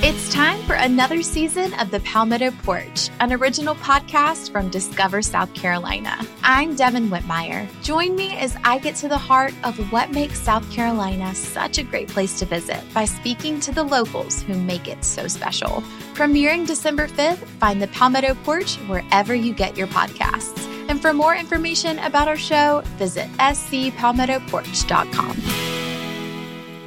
It's time for another season of The Palmetto Porch, an original podcast from Discover South Carolina. I'm Devin Whitmire. Join me as I get to the heart of what makes South Carolina such a great place to visit by speaking to the locals who make it so special. Premiering December 5th, find The Palmetto Porch wherever you get your podcasts. And for more information about our show, visit scpalmettoporch.com.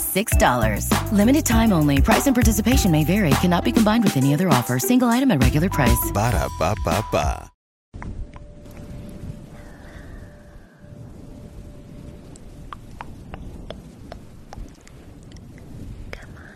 $6. Limited time only. Price and participation may vary. Cannot be combined with any other offer. Single item at regular price. Ba da ba Come on.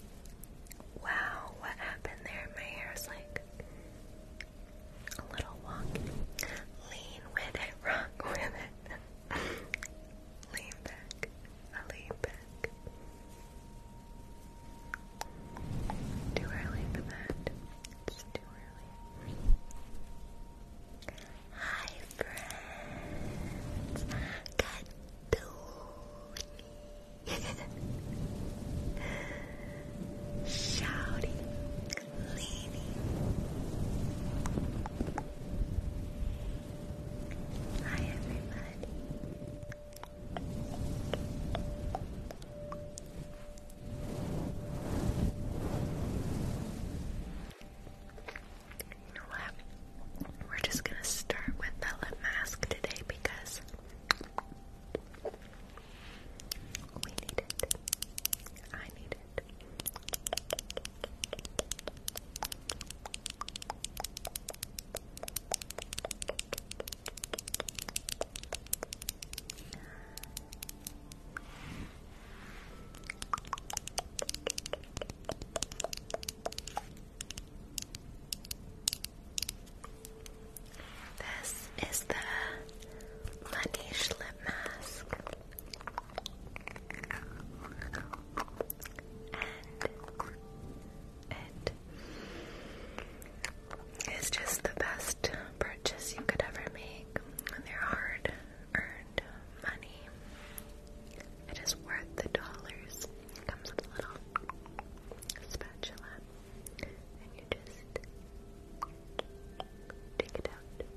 Wow, what happened there? My hair is like a little wonky. Lean with it, rock with it. lean back, I lean back. Too early for that. It's too early. Hi friends. Good Dooley. Shouty. Leany. Hi, everybody. We're just gonna start with that lip mask today because we need it. I need it. This is the Laneige lip mask. And it is just the best purchase you could ever make. They're hard earned money. It is worth the dollars. It comes with a little spatula, and you just take it out and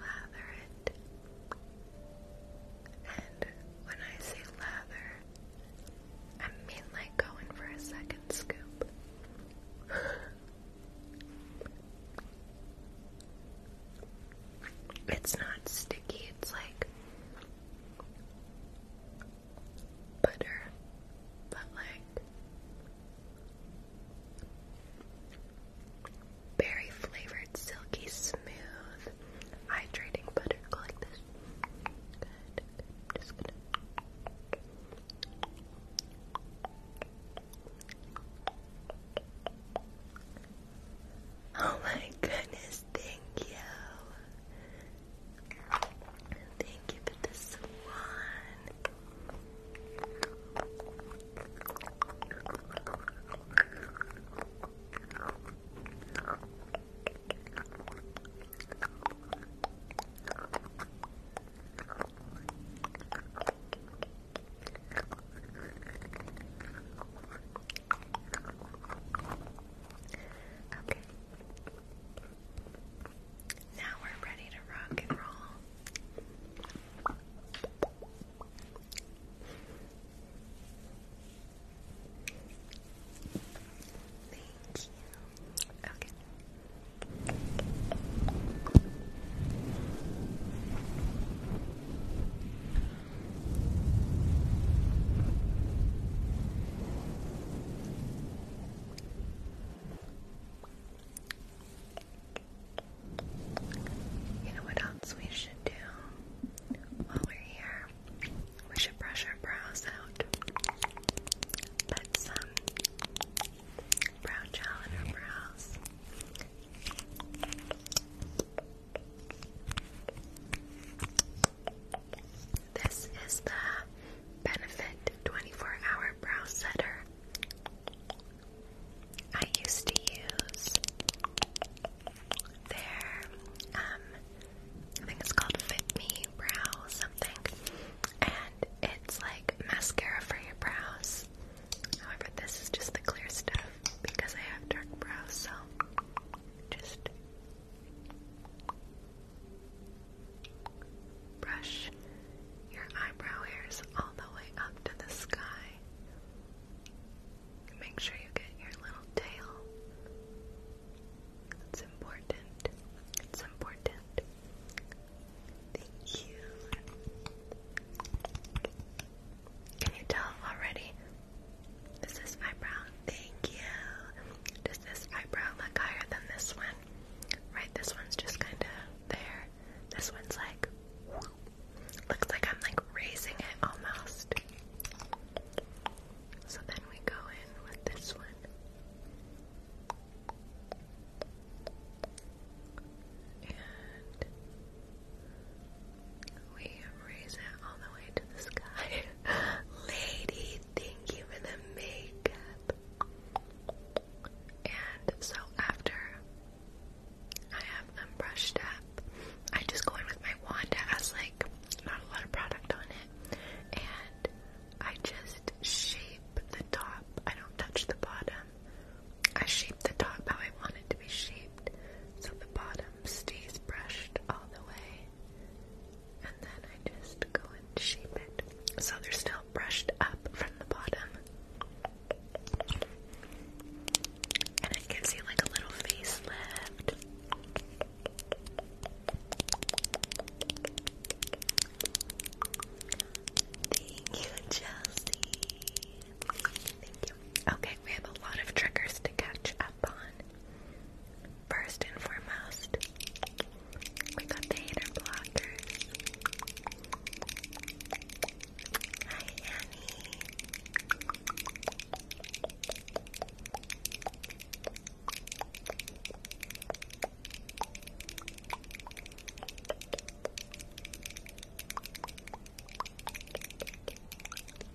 lather it. And when I say lather, I mean like go for a second scoop. It's not sticky, it's like butter, but like berry flavored, silky, smooth, hydrating butter. like this. Good. Just going Oh my goodness, thank you. Thank you for the swan. Okay. Now we're ready to rock and roll. Thank you. Okay. You know what else we should do while we're here? We should brush our brows out. Put some brow gel in our brows. This is the Benefit 24 Hour Brow Setter. I used to use their, um, I think it's called Fit Me Brow something, and it's like mascara for your brows. However, this is just the clear stuff because I have dark brows, so just brush your eyebrow hairs all the way up to the sky. Make sure you get your little tail. It's important. It's important. Thank you. Can you tell already? This Is this eyebrow? Thank you. Does this eyebrow look higher than this one? Right, this one's just kind of there. This one's like, looks like I'm like raising it almost. So then we go in with this one. And we raise it all the way to the sky. Lady, thank you for the makeup. And so after I have them brushed up, I just go in with my wand that like not a lot of product on it. And I just shape the top. I don't touch the bottom. I shape the top how I want it to be shaped so the bottom stays brushed all the way. And then I just go and shape it so they're still brushed up from the bottom. And it gives you like a little facelift. Thank you, Chelsea. Thank you. Okay, we have a lot of triggers to catch up on. First and foremost, we got the hater blockers. Hi, Annie.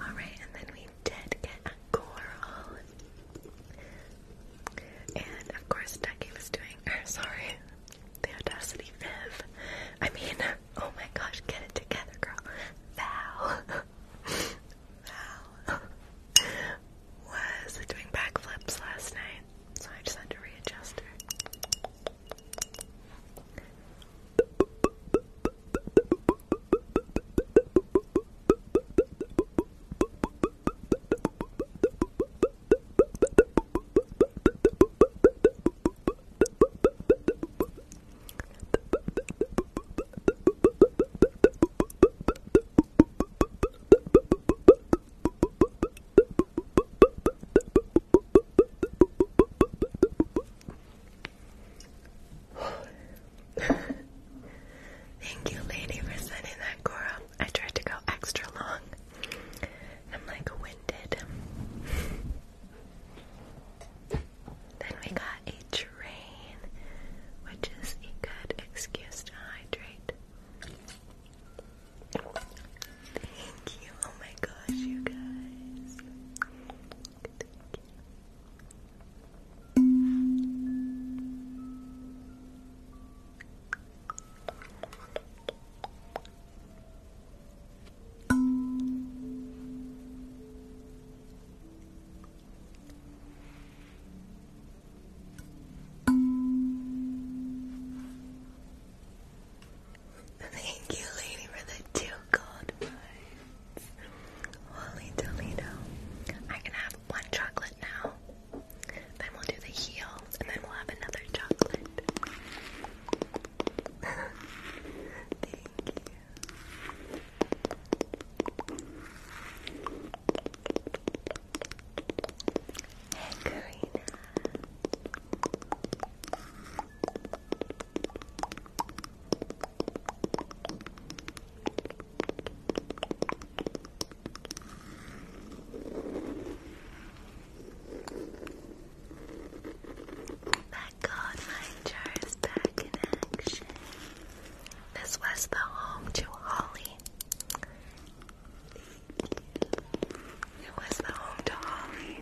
Alright, and then we did get a coral. And of course, Ducky was doing, or er, sorry, the Audacity Viv. I mean, oh my gosh, get it together, girl. Vow. wow. Was doing backflips last night, so I just had to readjust her. Thank you, lady, for sending that, Cora. I tried to go extra long. I'm like winded. Then we got a train, which is a good excuse to hydrate. Thank you. Oh my gosh, you guys. Thank you. Thank you, lady, for the two gold ones. Holy Toledo. I can have one chocolate now. Then we'll do the heel, and then we'll have another chocolate. Thank you. Hey, Karina. Bye, god, my jar is back in action. This was the home to Holly. It was the home to Holly,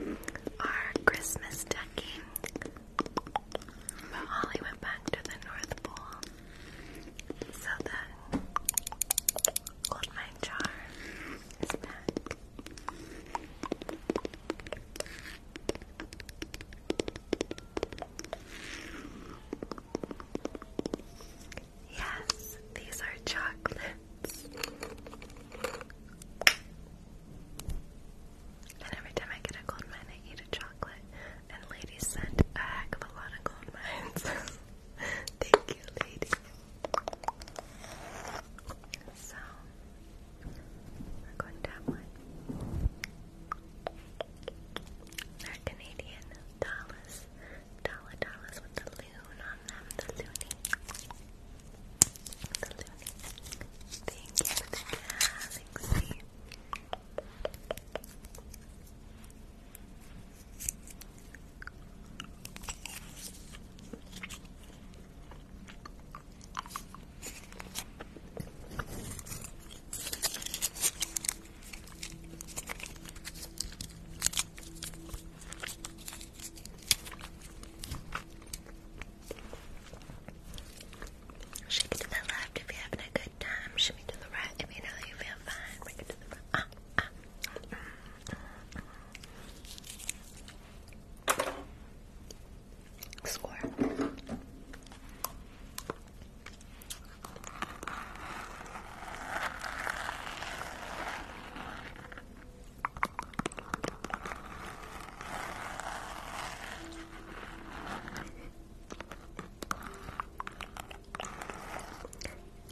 our Christmas ducky. But Holly went back to the North Pole. So the old mine jar is back. Yes, these are chocolates. And every time I get a gold mine, I eat a chocolate. And ladies send a a lot of gold mines. Thank you, ladies. So, we Canadian dollars. Dollar dollars with the loon on them. The loony. The loony. Thank you for the Shake it to the left if you're having a good time. Shake it to the right if you know you feel fine. Bring it to the right. Ah, ah, ah, mm, mm, mm score.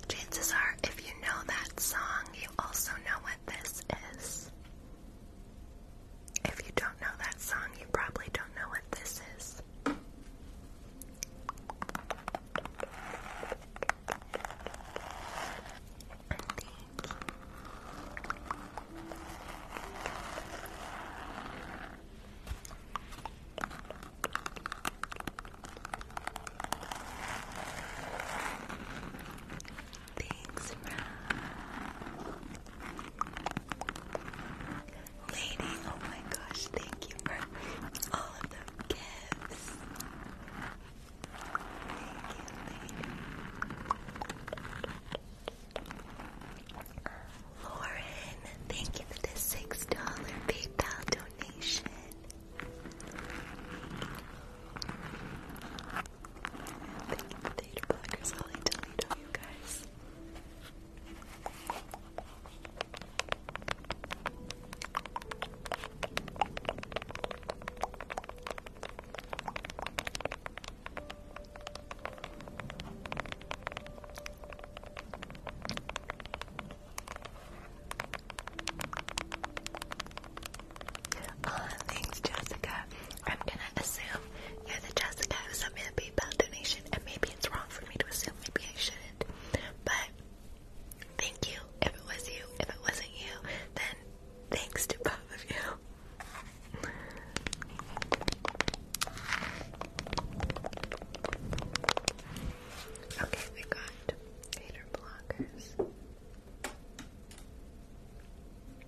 Chances are, if you know that song, you also know what this is. If you don't know that song, you probably don't know what this is. Thanks, Matt. Lady, oh my gosh, thank you for all of the gifts. Thank you, lady. Lauren, thank you for the six dollar PayPal donation. Thank you for the data I'll delete all you guys thanks, Jessica. I'm gonna assume you're the Jessica who sent me a PayPal donation, and maybe it's wrong for me to assume, maybe I shouldn't. But thank you if it was you. If it wasn't you, then thanks to both of you. Okay, we got hater blockers.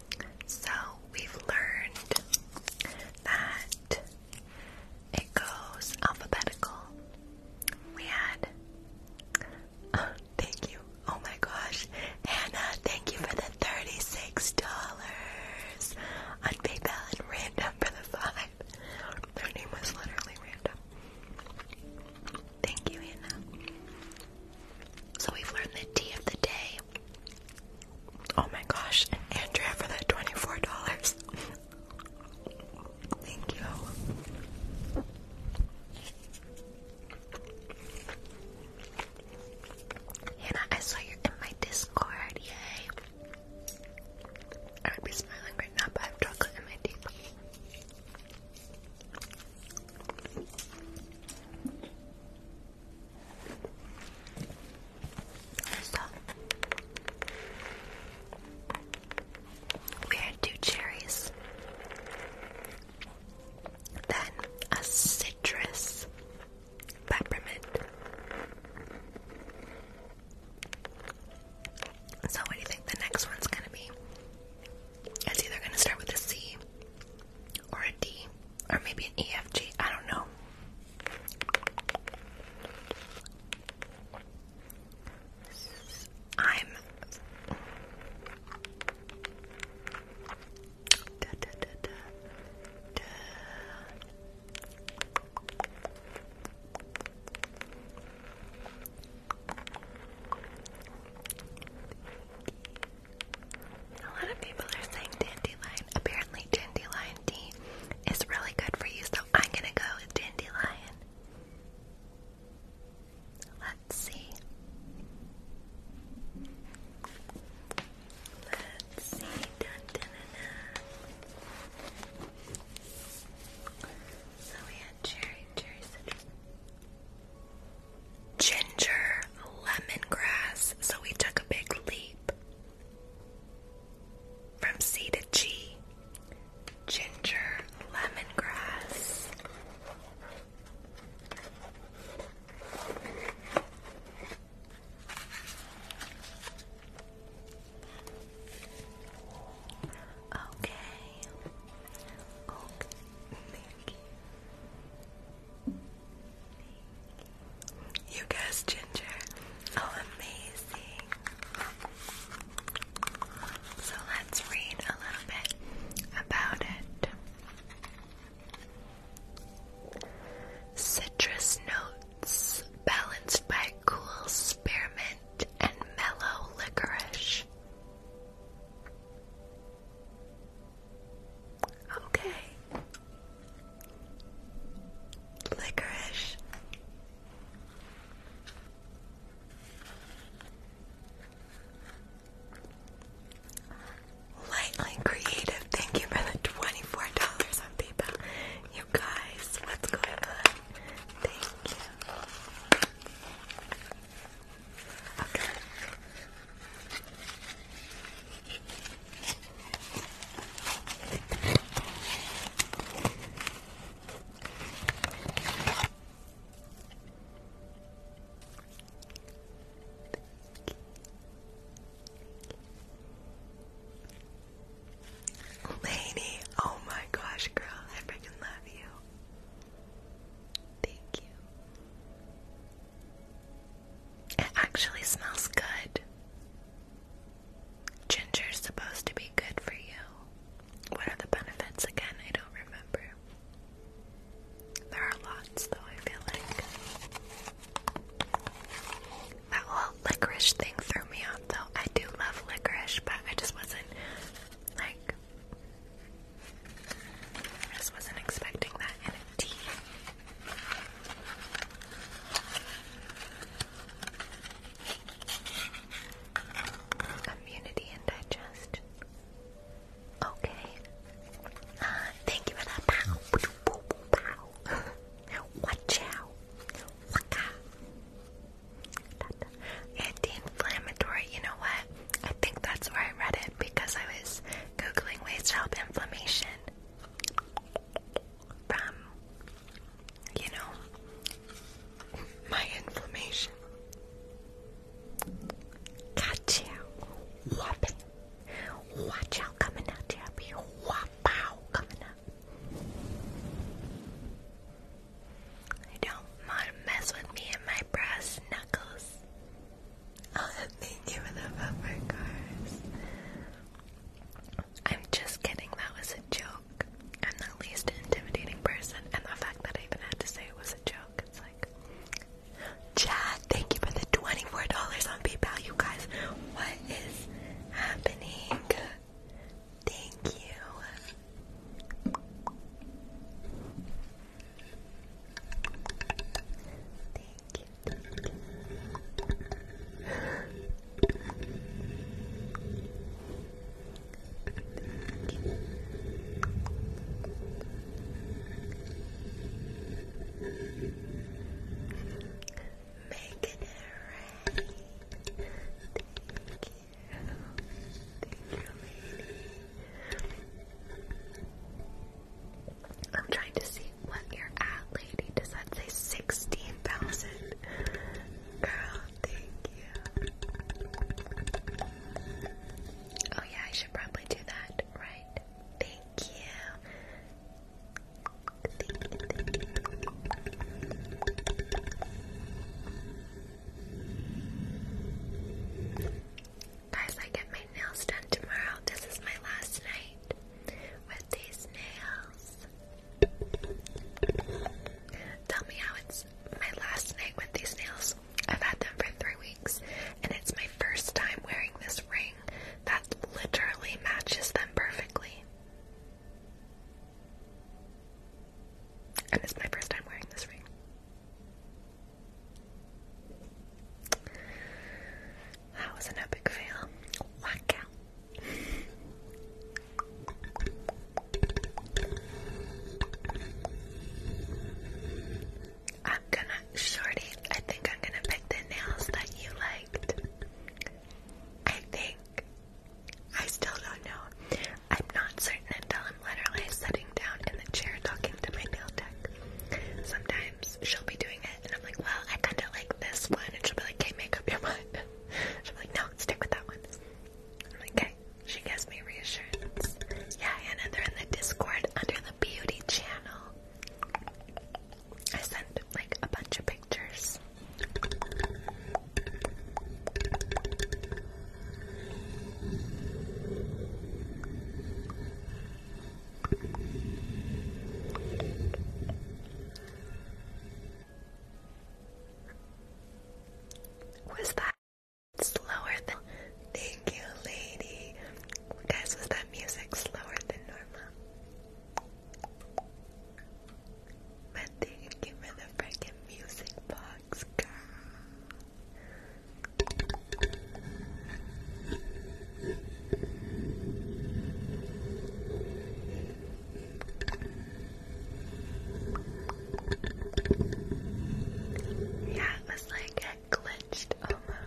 So we've learned that it goes alphabetical. We had. thank you. Oh my gosh. Hannah, thank you for the $36 on PayPal and random for the five. Their name was literally random. Thank you, Hannah. So we've learned the T of the day. Oh my gosh, Andrea for that $24. Thank you. Hannah, I saw you in my Discord, yay. I would be smiling right now, but I have chocolate in my teeth. So, we had two cherries, then a citrus peppermint. So, what do you think the next one's gonna be? It's either gonna start with a C or a D. Or maybe an EFG, I don't know. I'm a lot of people are saying dandelion. Apparently, dandelion tea is really good for you, so I'm gonna go with dandelion. Let's see. Let's see. So we had cherry, cherry citrus. Ginger, lemongrass. So we took a big leap. From C to G, ginger lemongrass. Okay. Okay. Thank you. You guys, Ginger. Oh, amazing. So let's read a little bit about it. Citrus notes balanced by cool spearmint and mellow licorice. Okay licorice. Lightly creative. Thank you for the twenty-four dollars on PayPal. You guys, what's going on? Thank you. Okay. Lady, oh my gosh, girl, I freaking love you. Thank you. It actually smells good. Ginger's supposed to be good for you. What are the benefits again? I don't remember. There are lots, though, I feel like. That whole licorice thing threw me off, though. I do love licorice, but I just wasn't, like, I just wasn't expecting that in a tea. Immunity and digestion. Okay. Uh, thank you for that. Pow, pow, pow, pow. Anti-inflammatory. You know what? I think that's where I read it because I was googling ways to help inflammation from, you know, my inflammation. Gotcha. Whopping. Watch out coming out, Debbie. Whop out coming up. I don't want to mess with me and my brass knuckles. Oh, thank you for the bumper I'm just kidding, that was a joke. I'm the least intimidating person, and the fact that I even had to say it was a joke, it's like. Chad, thank you for the $24 on PayPal, you guys. What is happening? Thank you. Thank you. Make it rain. Thank you. I'm trying to see what you're at, lady. Does that say 16,000? Girl, thank you. Oh, yeah, I should probably do that, right? Thank you. Guys, I get my nails done tomorrow. This is my last night with these nails. Tell me how it's my last night with these nails. I've had them for three weeks, and it's my first time wearing this ring that literally matches them perfectly. And it's my first time wearing this ring. That was an epic fail. Walk out. I'm gonna, Shorty, I think I'm gonna pick the nails that you liked. I think. I still don't know. I'm not certain until I'm literally sitting down in the chair talking to my nail tech. Sometimes she'll be doing it and I'm like, well, I kinda like this one. And she'll be like, "Okay, make up your mind i like, no, stick with that one. I'm like, okay. She gives me reassurance. Yeah, Hannah, they're in the Discord under the beauty channel. I sent like a bunch of pictures. Was that slower than? Thank you, lady. Guys, was that music slower than normal? But thank you for the freaking music box, yeah, it was like it glitched almost.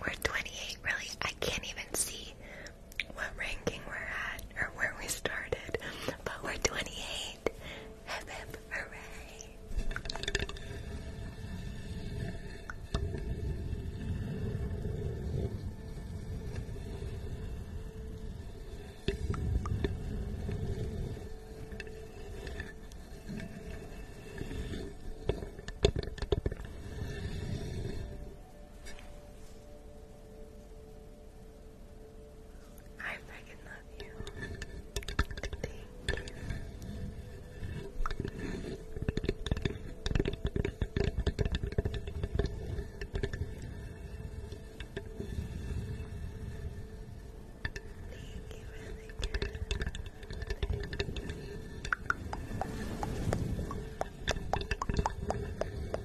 We're 28, really? I can't even see what ranking we're at or where we started, but we're 28. hooray! I freaking love you. Thank you. Thank you, really Thank you.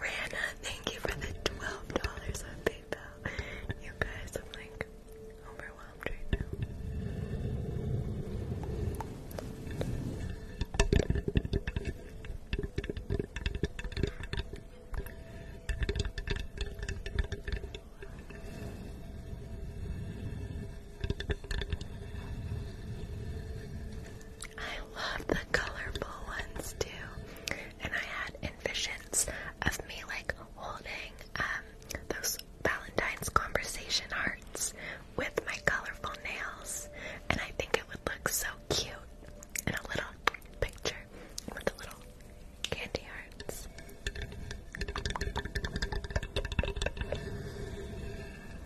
Rana, thank you for the twelve dollars on PayPal. You guys, I'm like overwhelmed right now. I love the colorful ones too. And I had envisions of me like holding um, those Valentine's conversation hearts with my colorful nails. And I think it would look so cute in a little picture with the little candy hearts.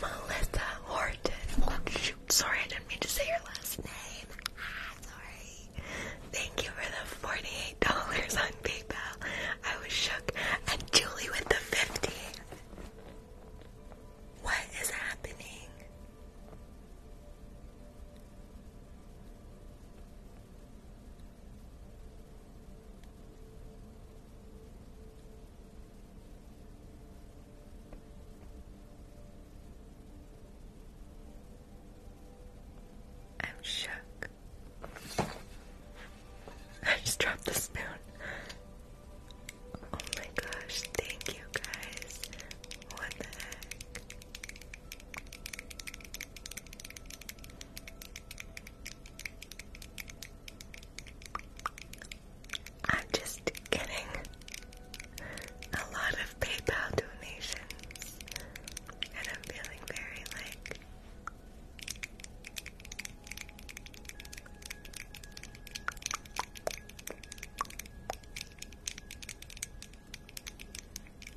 Melissa Horton. Oh, shoot. Sorry, I didn't mean to say your last name. Ah, sorry. Thank you for the $48 on PayPal. I was shook. And Julie with the 50. What is happening? I'm shook. I just dropped the spoon. Oh my gosh, thank you guys. What the heck? I'm just getting a lot of PayPal donations, and I'm feeling very like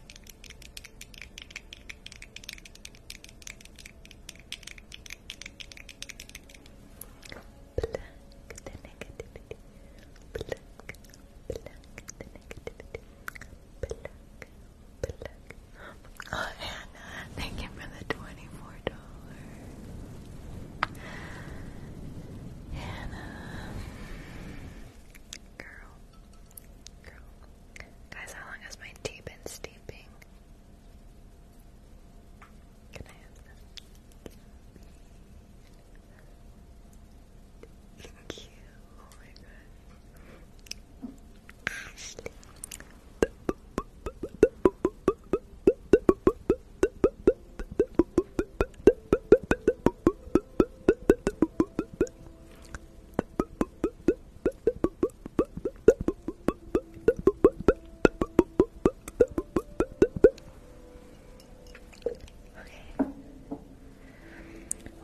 Pluck the negativity. Pluck, pluck the negativity. Pluck, Oh, Anna, thank you for the twenty-four dollars. Hannah, girl, Guys, how long has my tea been steeping? Can Thank you. Oh my god. Ashley. Okay.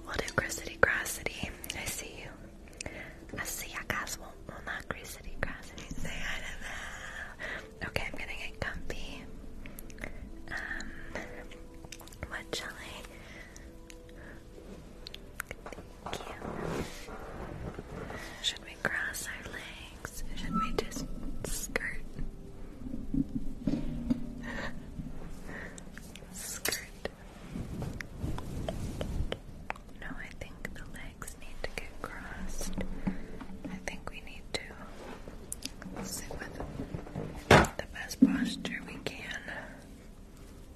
We'll do Grissity I see you. I see you guys won't will not Grissity Grassity. Say hi to them. Okay, I'm gonna get comfy. Um what jelly? Should we cross our legs? Should we just skirt? skirt. No, I think the legs need to get crossed. I think we need to sit with the best posture we can.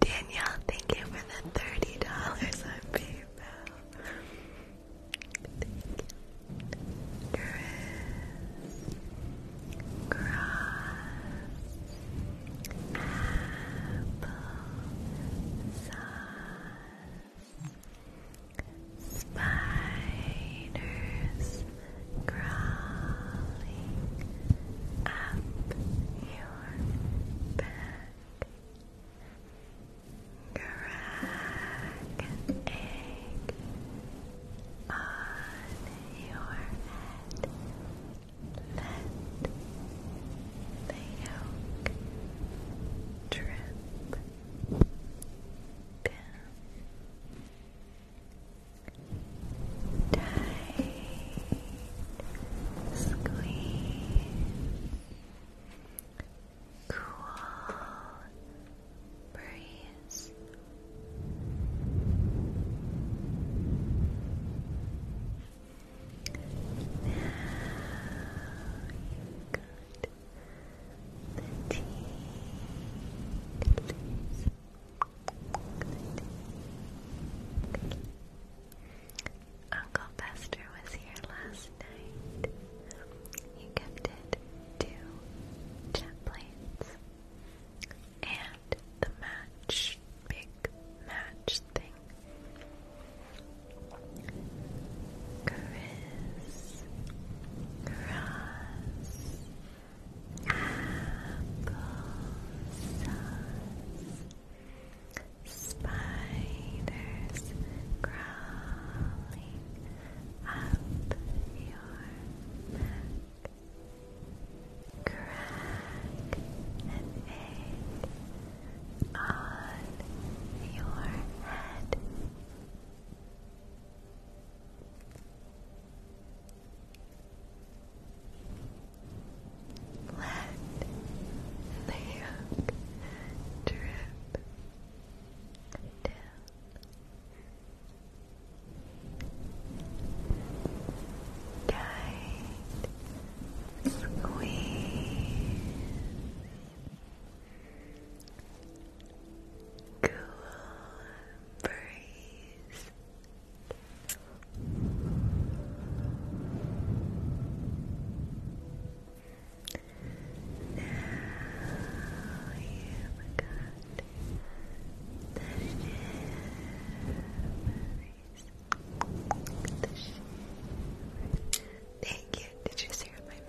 Danielle, thank you for the thirty dollars on PayPal. Thank you. Cross, Apple, Spiders crawling up your back. Crack egg on your head. Let the yolk drip down Tight squeeze, cool breeze. Now you good the tea, Uncle Fester was here last night. He gifted two jet and the match, big match thing. Chris cross, applesauce, spiders crawling up your back. Crack an egg on your head. Let the drip down. Tight squeeze cool breeze. Now you got the shivers. Thank you. Did you just my mouth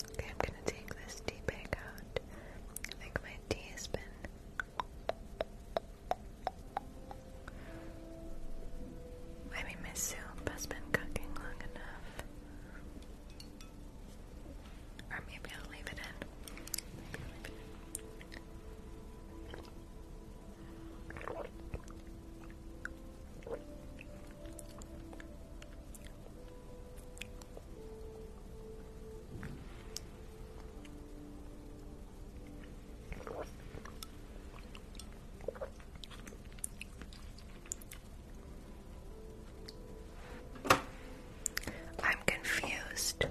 Okay, I'm gonna take this tea out. I think my tea has been I mean my soup has been cooking long enough. Or maybe I'll leave it in. Maybe I'll leave it in. I'm confused.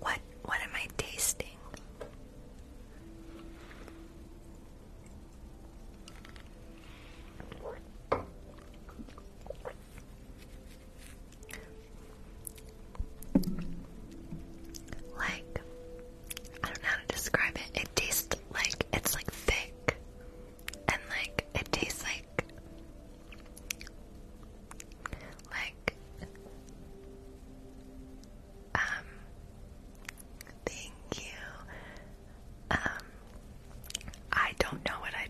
What what am I tasting? Like, I don't know how to describe it. It tastes like it's like thick, and like it tastes like like um. Thank you. Um, I don't know what I.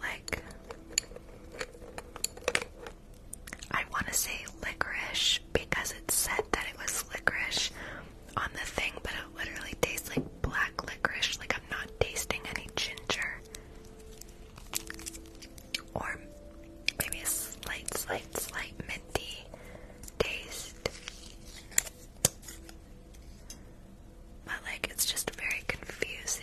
Like, I want to say licorice because it said that it was licorice on the thing, but it literally tastes like black licorice. Like, I'm not tasting any ginger. Or maybe a slight, slight, slight minty taste taste. But like it's just very confusing.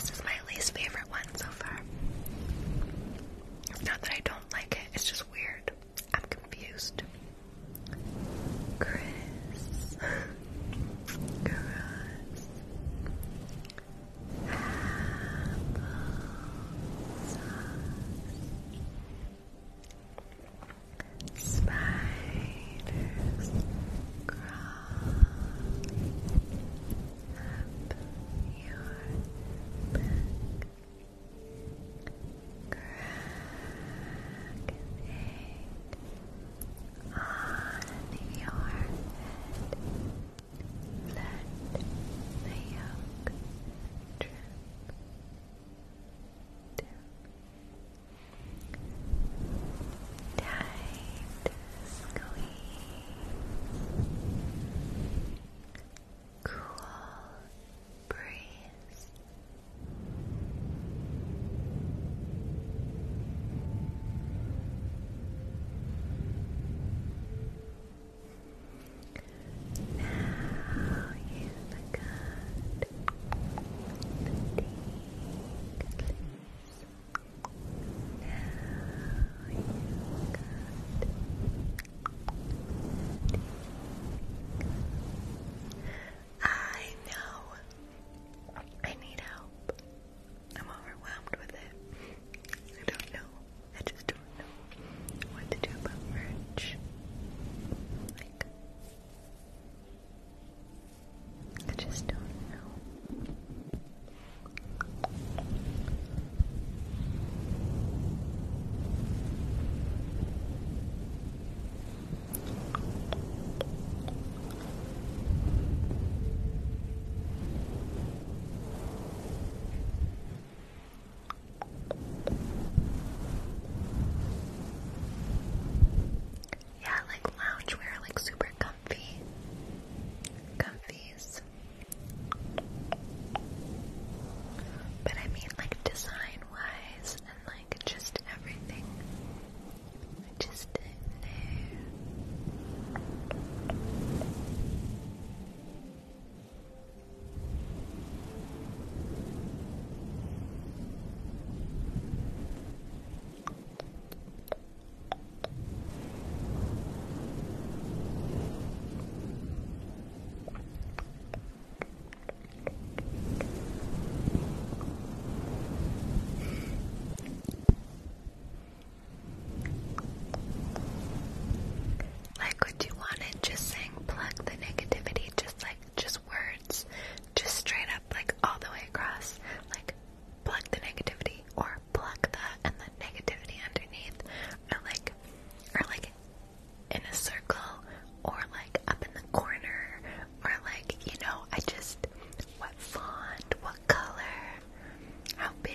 This is my least favorite one so far. not that I don't like it, it's just weird. I'm confused. Chris. Chris. Apple Spiders crawling up your back. Crack an egg on your head. Let the yolk drip, drip, Tight squeeze. Cool breeze. Now you I know. I need help. I'm overwhelmed with it. I don't know. I just don't know what to do about merch. I just don't know. Yeah, like loungewear, like super comfy. Comfies. But I mean, like design wise and like just everything. Just there. Like, would you want just saying plug the negativity, just like just words, just straight up, like all the way across, like plug the negativity or plug the and the negativity underneath, or like, or like in a circle, or like up in the corner, or like you know, I just what font, what color, how big.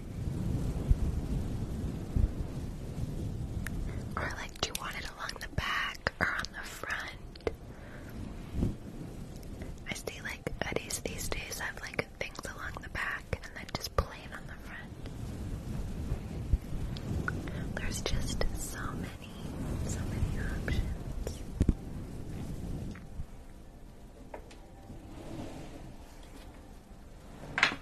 Or like, do you want it along the back or on the front? I see like hoodies these days have like things along the back and then just plain on the front. There's just so many, so many options.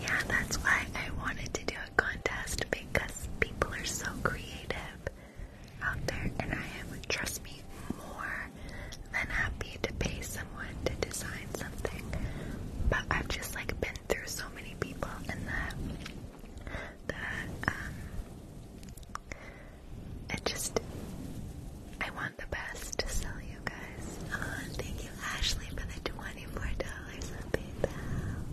Yeah, that's why I wanted to do a contest because people are so creative out there, and I am, trust me, more than happy to pay someone to design something. But I've just like been through so many people, and the the um, it just I want the best to sell you guys. Um, thank you, Ashley, for the twenty-four dollars on PayPal.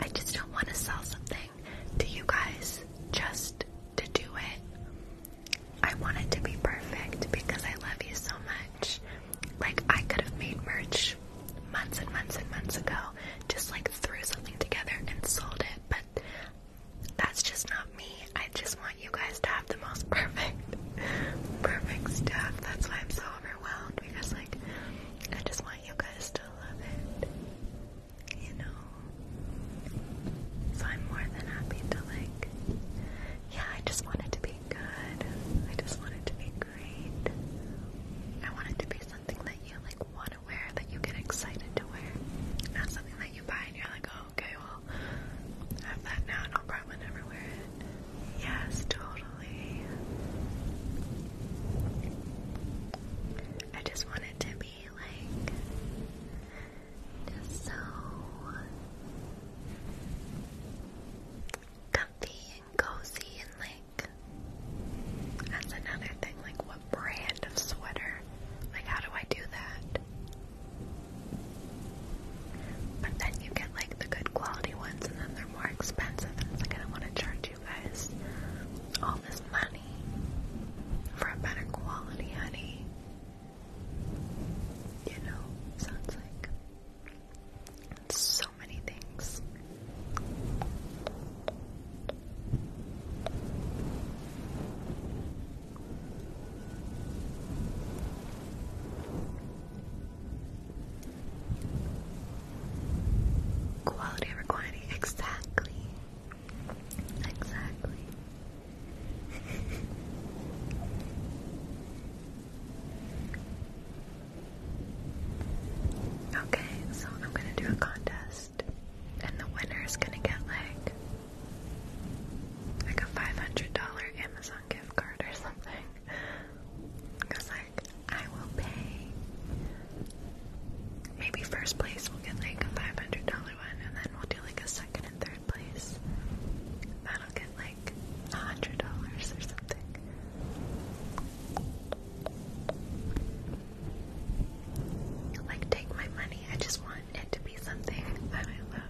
I just don't want to sell something to you guys just to do it. I want it to be perfect because I love you so much. Like I could have made merch months and months and months ago, just like threw something together and sold it, but that's just not me. I just want you guys to have the most perfect, perfect stuff. That's why I'm so overwhelmed because, like, I just want you guys to love it. You know? So I'm more than happy to, like, yeah, I just want it to be good. I just want it to be great. I want it to be something that you, like, want to wear, that you get excited to wear. Not something that you buy and you're like, oh, okay, well, I have that now and I'll probably never wear it. Yes, totally. I just want it to be like just so comfy and cozy and like that's another thing, like what brand of sweater? Like how do I do that? But then you get like the good quality ones and then they're more expensive like I want to charge you guys all this money for a better quality honey. You know, sounds like so many things. Quality over quantity, exactly. Exactly. okay, so I'm gonna do a contest, and the winner is gonna get like like a $500 Amazon gift card or something. Because, like, I will pay. Maybe first place will get like a $500 one, and then we'll do like a second and third place. That'll get like $100 or something. Like, take my money. I just want it to be something that I love.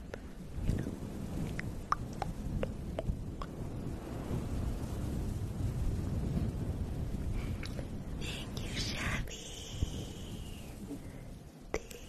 Thank you, Shabby. Thank you.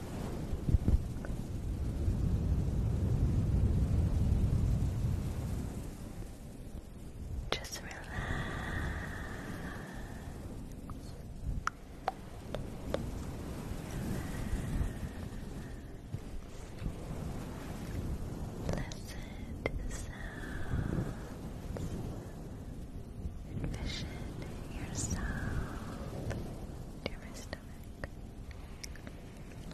Just relax. Listen to the sounds. Envision yourself, dearest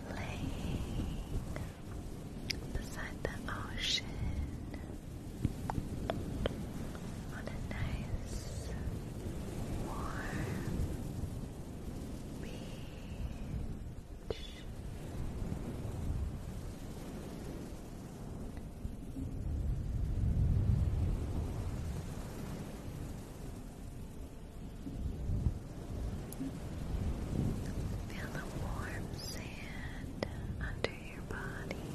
Lay beside the ocean on a nice, warm beach. Feel the warm sand under your body,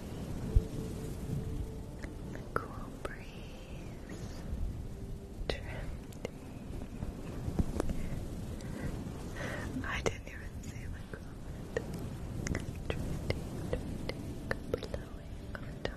the cool breeze drifting. I didn't even see my comment. Drifting, drifting, blowing on top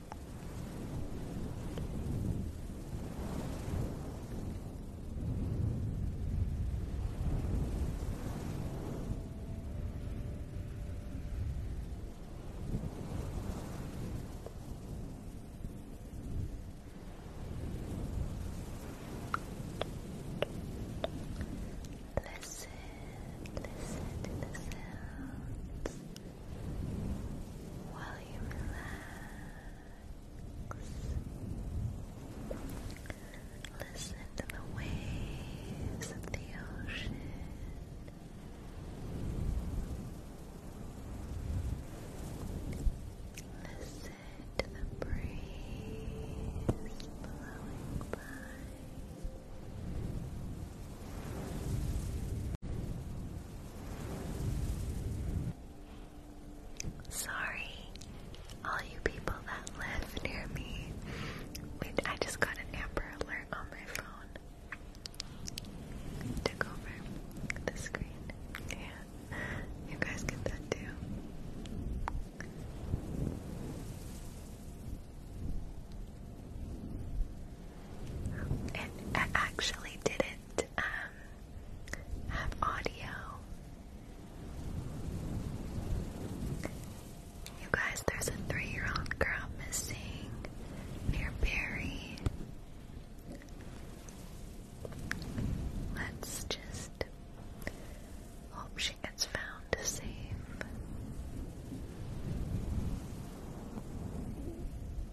Listen, listen to the sounds while you relax. Listen to the waves of the ocean. Listen to the breeze blowing by. Sorry, all you people that live near me. Wait, I just got an Amber Alert on my phone. Took over the screen. Yeah, you guys get that too. It actually didn't um, have audio. You guys, there's a three-year-old girl missing near Barry. Let's just hope she gets found safe.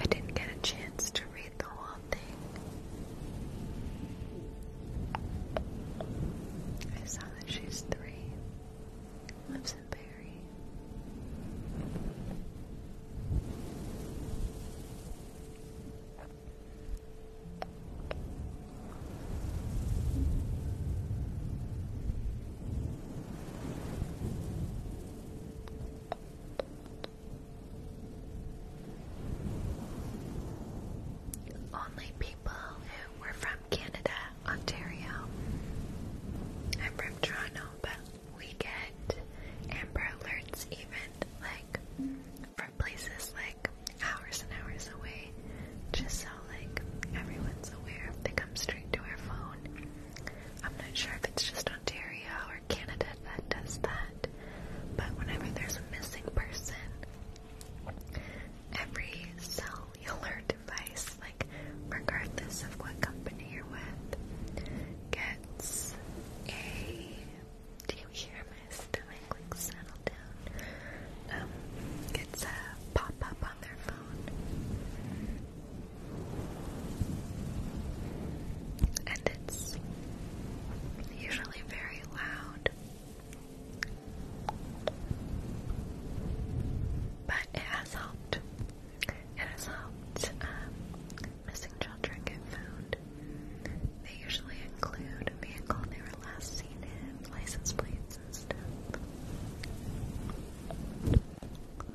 I didn't get a chance to read the whole thing. I saw that she's three, lives in Barry. Only people who were from Canada, Ontario. I'm from Toronto, but we get Amber Alerts even like from places like hours and hours away, just so like everyone's aware. They come straight to our phone. I'm not sure if it's just Ontario or Canada that does that, but whenever there's a missing person, every cellular device, like regardless of what company you're with, gets a. Do you hear my stomach like settle down? Um, gets a pop up on their phone and it's usually very loud. But it has helped. It has helped um, missing children get found. They usually include a vehicle they were last seen in, license plates and stuff.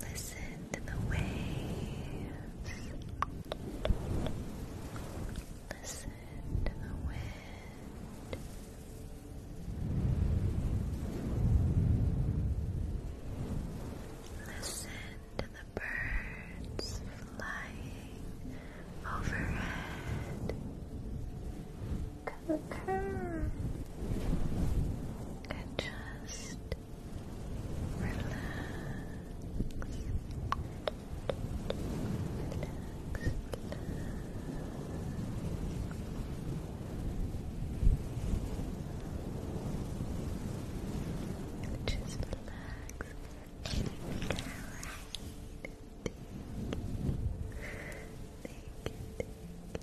Listen to the waves. Listen to the wind. Listen to the birds flying overhead. Okay. just relax. Relax, Just relax. Alright. Thank you.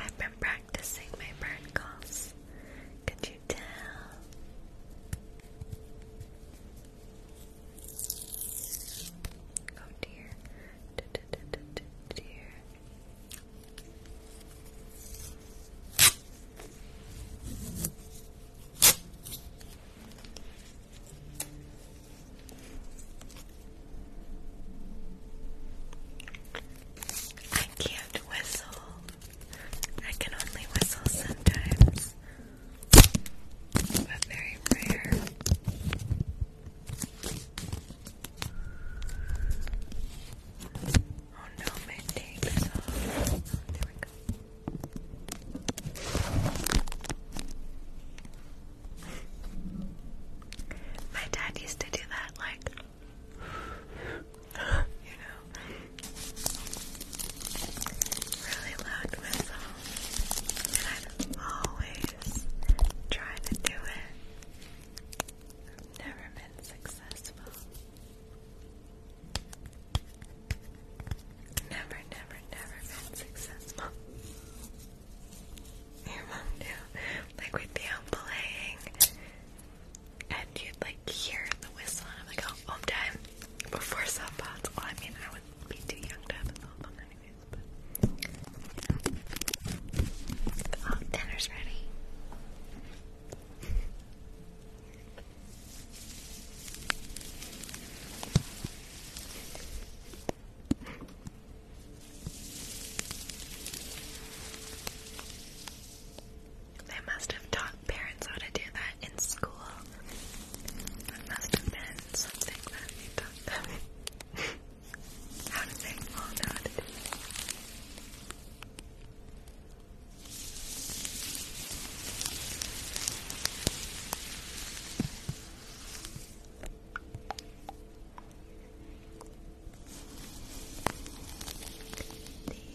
I've been practicing my burn calls. Could you tell? Oh dear. D -d -d -d -d dear. I can't whistle. I can only whistle sometimes, but very rare. Oh no, my tape there we go. My dad used to do that, like, you know, really loud whistle. And I'd always try to do it. I've never been successful. Never, never, never been successful. Your mom knew. Like we'd be out playing and you'd like hear the whistle and I'm like, oh, home time. Before cell phones. Well, I mean, I would be too young to have a cell phone anyway. Oh, dinner's ready. They must have taught parents how to do that in school. must have been something that they taught them. How to say long Thank you.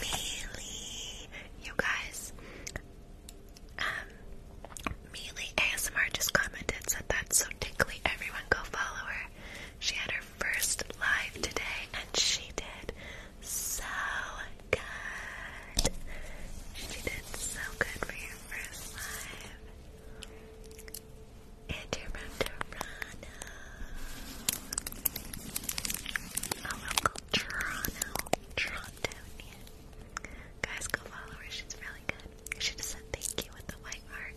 Mealy. You guys, um, Mealy ASMR just commented, said that's so tickly. Everyone go follow her. She had her first live today and she did so good. She did so good for your first live. And your round to run. Oh, welcome Toronto, Torontonian. Guys, go follow her. She's really good. I should said thank you with the white heart.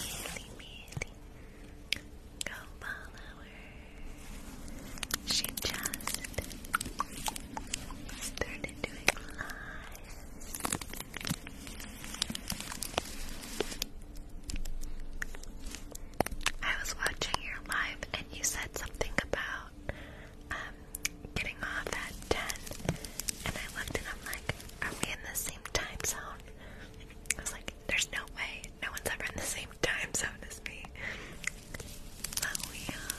Mealy, mealy. Go follow her. She just started doing live I was watching your live and you said something about um getting off at 10 and I looked and I'm like, are we in the same time zone? I was like, there's no way. No one's ever in the same time zone as me. But we are. Uh,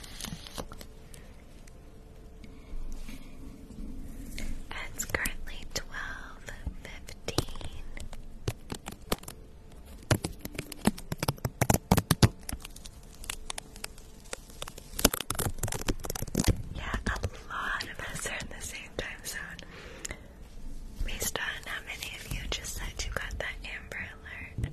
It's currently twelve fifteen. Yeah, a lot of us are in the same time zone. Based on how many of you just said you got that amber alert.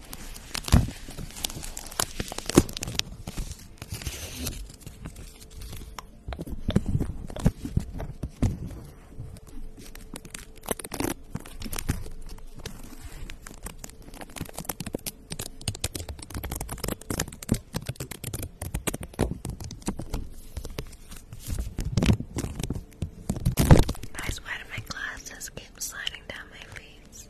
I swear my glasses keep sliding down my face.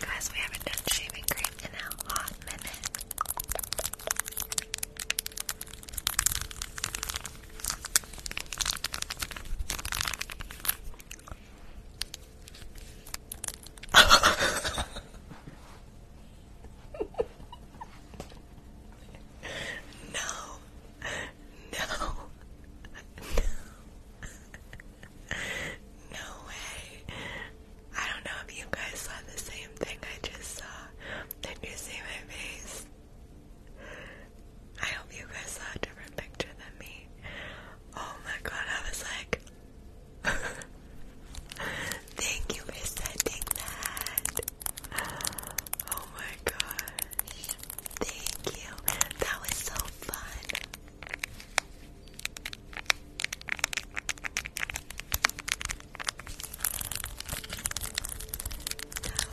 Guys, we haven't done shaving cream in a hot minute. no. No. No. no way. I don't know if you guys saw the same thing I just saw. Did you see my face? I hope you guys saw a different picture than me. Oh my god, I was like, Thank you for sending that. Oh my gosh. Thank you. That was so fun. That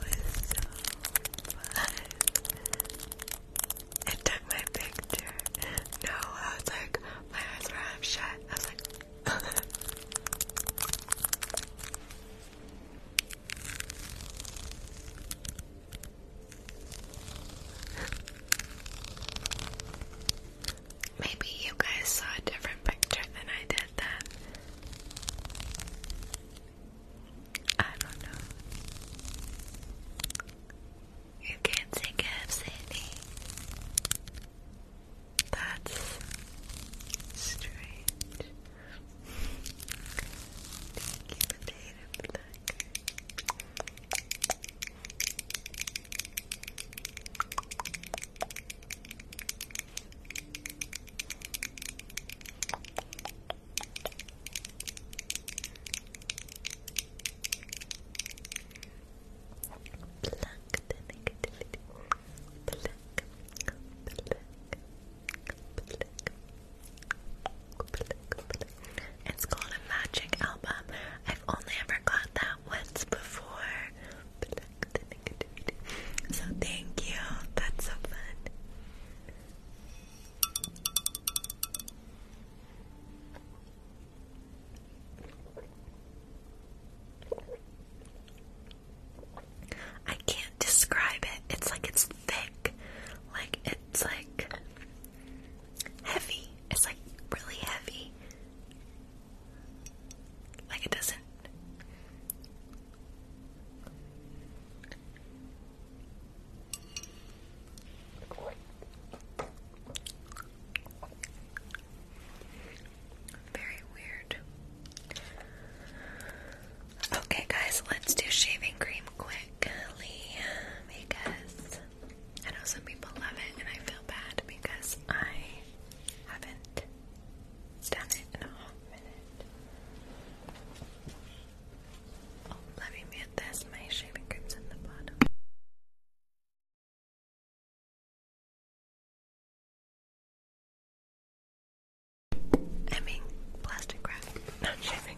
was so fun. I took my picture. No, I was like, my eyes were half shut. I was like, Maybe you guys saw a different picture than I did then. I don't know. You can't say calf, Sandy. That's strange. Thank you, potato plucker. It's called a magic album. I've only ever got that once before. So thank you. That's so fun. I can't describe it. It's like it's thick. Like it's like heavy. It's like really heavy. Like it doesn't very weird. Okay, guys, let's do shaving cream quickly because I know some people love it and I feel bad because I haven't done it in a hot minute. Oh, let me mute this. My shaving cream's in the bottom. I mean, plastic wrap, not shaving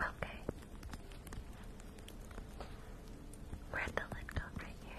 Okay. We're at the lid coat right here.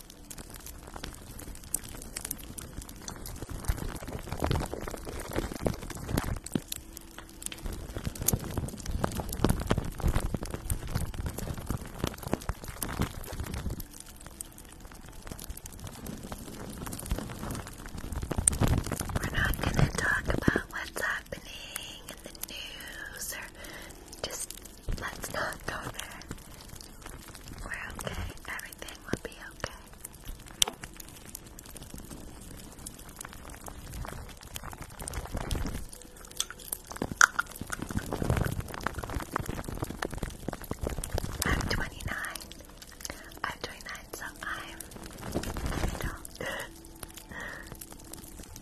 We're not going to talk about what's happening in the news or just Let's not go there. We're okay. Everything will be okay. I'm 29. I'm 29, so I'm an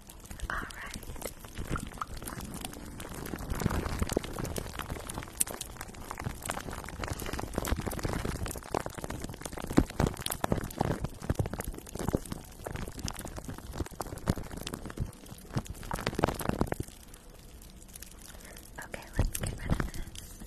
Alright. Okay, let's get rid of this.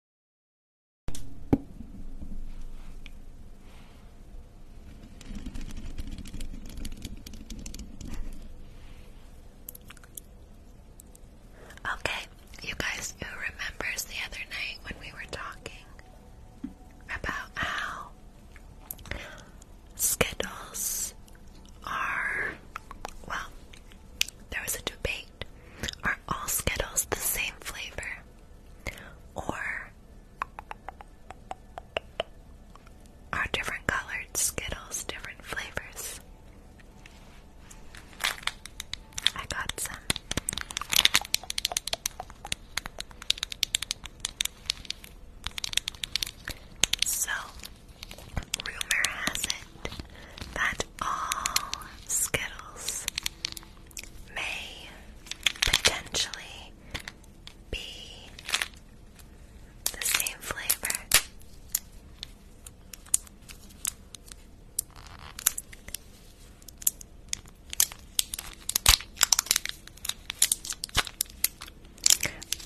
Okay, you guys, who remembers the other night when we were talking about how Skittles are, well, there was a debate. Are all Skittles the same flavor? or are different colored Skittles different flavors? I got some. So, rumor has it that all Skittles may potentially be the same flavor.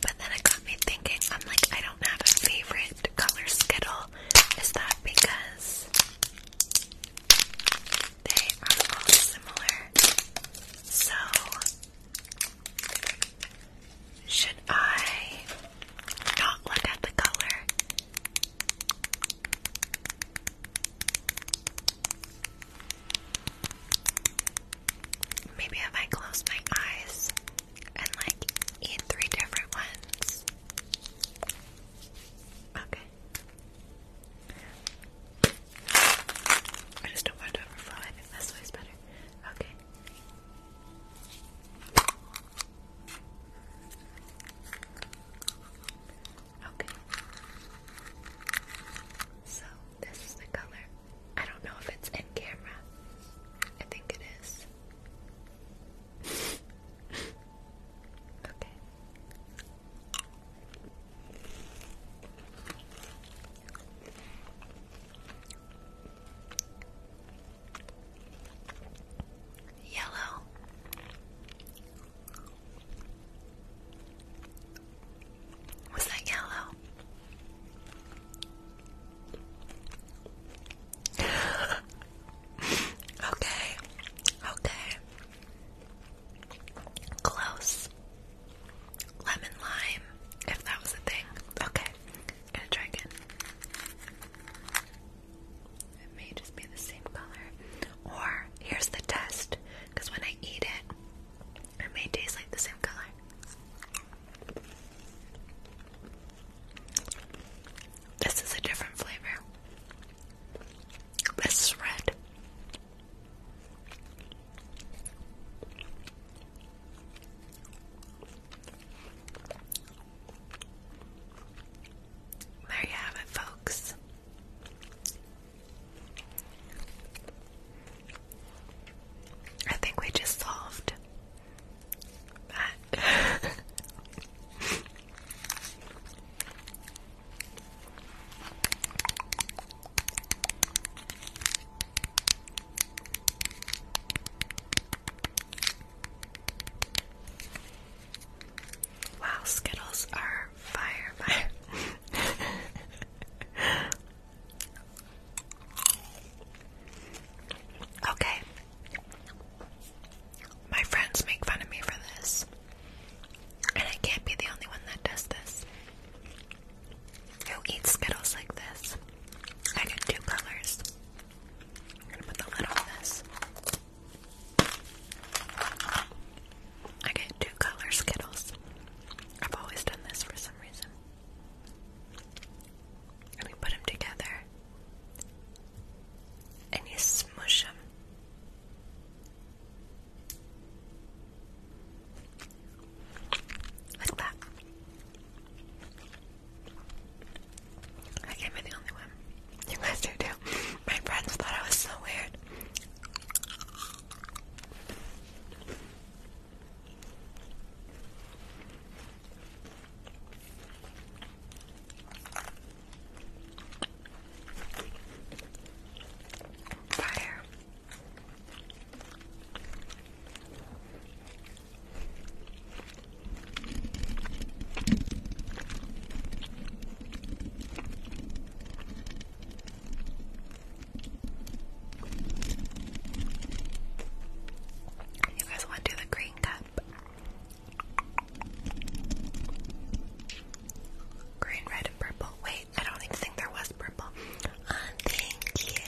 But then it got me thinking, I'm like, I don't have a favorite color Skittle. Is that because they are all similar. So, should I not look at the color? Maybe if I close my eyes and like eat three different ones. Okay. I just don't want to overflow. I think this way's better. Okay. Okay. So this is the color. I don't know if it's in camera. I think it is. okay. Yellow. Was that yellow? okay, okay. Close. Lemon lime, if that was a thing. Okay, I'm gonna try again. It may just be the same color. Or, here's the test, because when I eat it, it may taste like the same color. This is a different flavor. This red. There you have it, folks. I think we just solved Wow, Skittles are fire, okay. My friends make fun of me for this. And I can't be the only one that does this. Who eats Skittles like this? I get two colors. I'm gonna put the lid on this. I get two color Skittles. I've always done this for some reason. And we put them together. And you smush them. Like I can't be the only one. You guys do too. My friends thought I was so weird. Fire. You guys want to do the green cup? Green, red, and purple. Wait, I don't even think there was purple. thank you.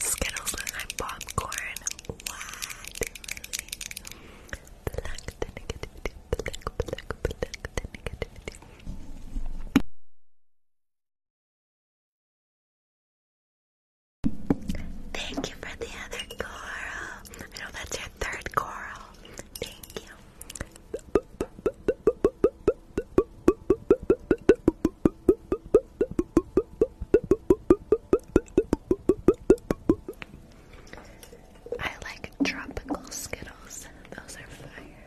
Skittles with popcorn. Thank you for the other coral. I know that's your third coral. Thank you. I like tropical Skittles, those are fire.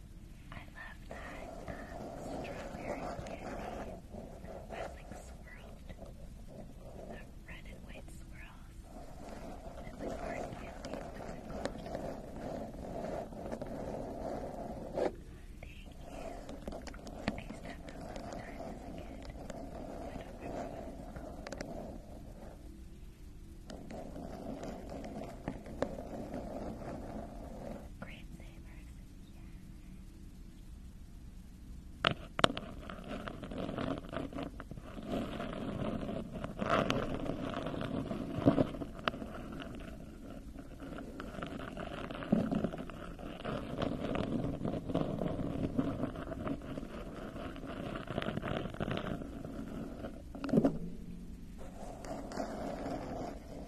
I love that um, strawberry candy that's like swirled, the red and white swirls, and the hard candy, what's it called? Thank you. I used to have those all the time as a kid. I don't remember what it's called. Great savers, yeah. Great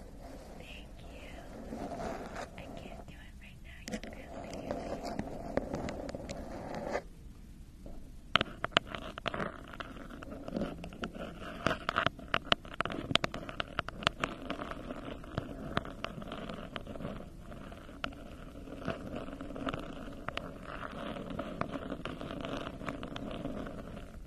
Thank you. I can't do it right now. You barely hear me.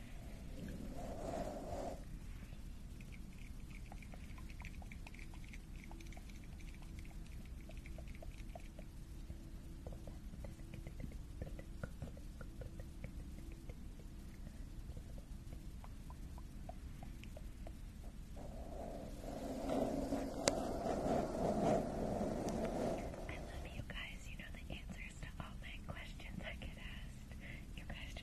love you guys. You know the answers to all my questions I get asked. You guys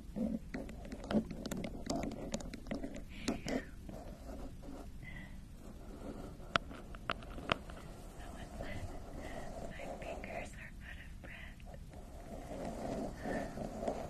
My fingers are out of breath.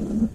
Welcome back.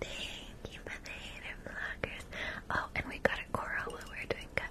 Thank you for the vloggers. Oh, and we got a coral while we are doing cut.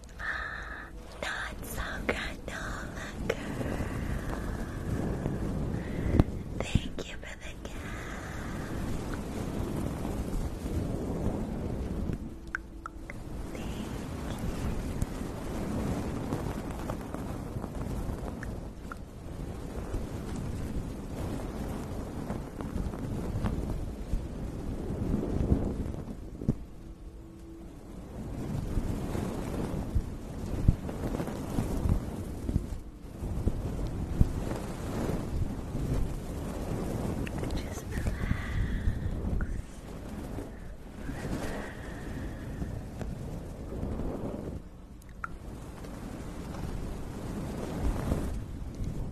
Not so granola girl. Thank you for the gift. Thank you. Just relax.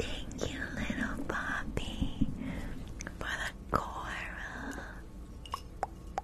Thank you, little Poppy, for the coral.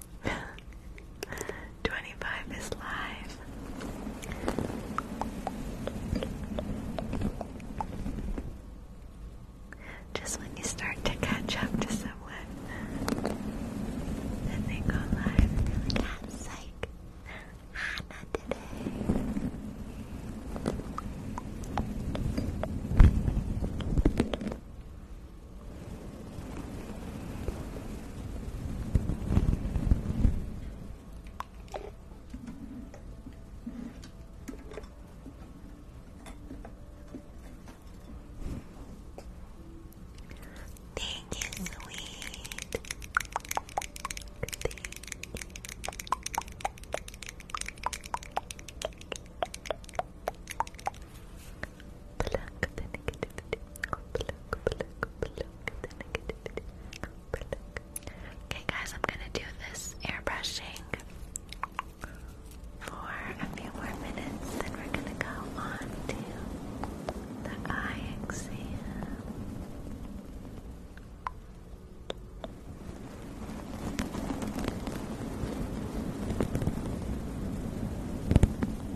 25 is live. Just when you start to catch up to someone, and they go live, and like, ah, ah today. Thank you, sweet. Okay, guys, I'm gonna do this airbrushing for a few more minutes, then we're gonna go on to the eye exam.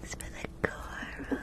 Thanks for the coral.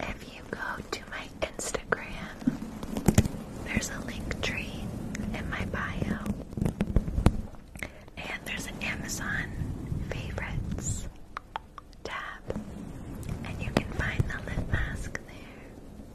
If you go to my Instagram, there's a link tree in my bio, and there's an Amazon favorites tab, and you can find the lip mask there.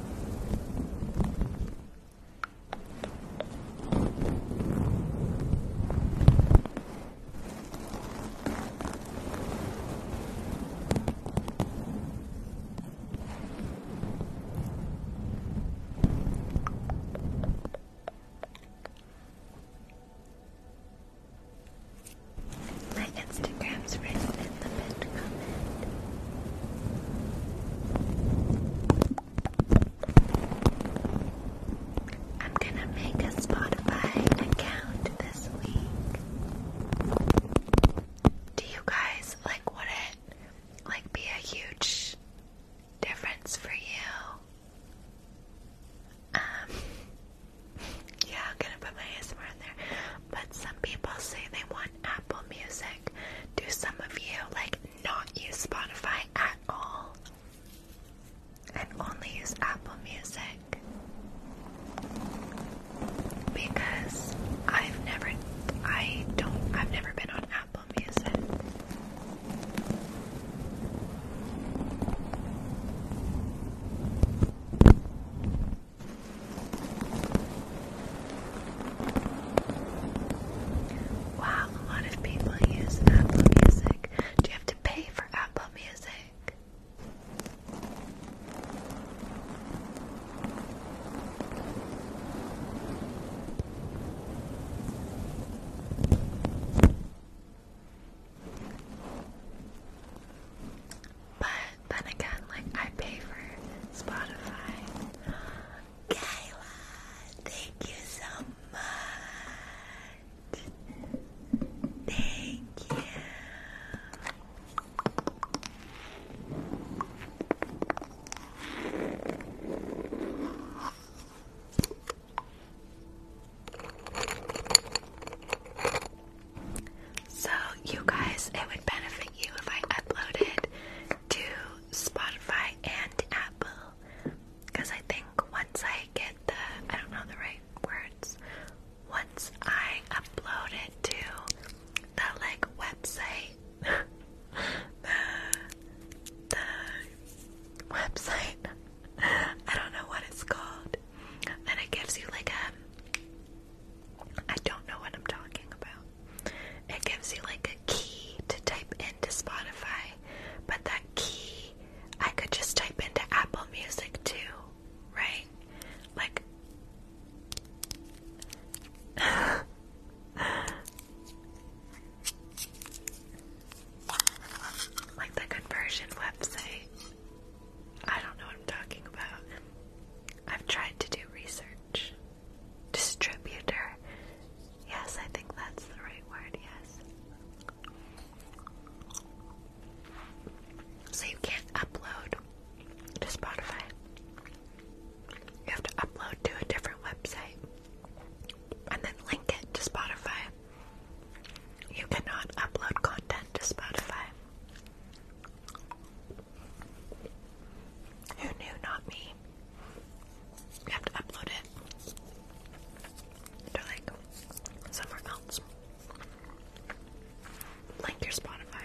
My Instagram's right I'm gonna make a Spotify account this week. Do you guys like would it like be a huge difference for you? Um, yeah, I'm gonna put my ASMR in there. But some people say they want Apple Music. Do some of you like not use Spotify at all and only use Apple Music? Because I've never, I don't, I've never been on Apple Music. Wow, a lot of people use Apple Music. Do you have to pay for Apple Music? But then again, like I pay for Spotify. Kayla, thank you so much. Thank you. So, you guys, it would benefit you if I uploaded to Spotify and Apple because I think once I get the, I don't know the right words, once I upload it to the like website, the, website, I don't know what it's called, then it gives you like a I don't know what I'm talking about. It gives you like a key to type into Spotify, but that key I could just type into Apple Music too, right? Like like the conversion website. I don't know what I'm talking about. I've tried to do research distributor. Yes, I think that's the right word, yes. So you can't upload to Spotify. You have to upload to a different website and then link it to Spotify. You cannot upload content to Spotify. Who knew? Not me. You have to upload it. To like somewhere else. Link your Spotify.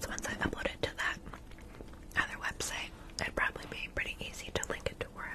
So once I upload it to that other website, it'd probably be pretty easy to link it to wherever.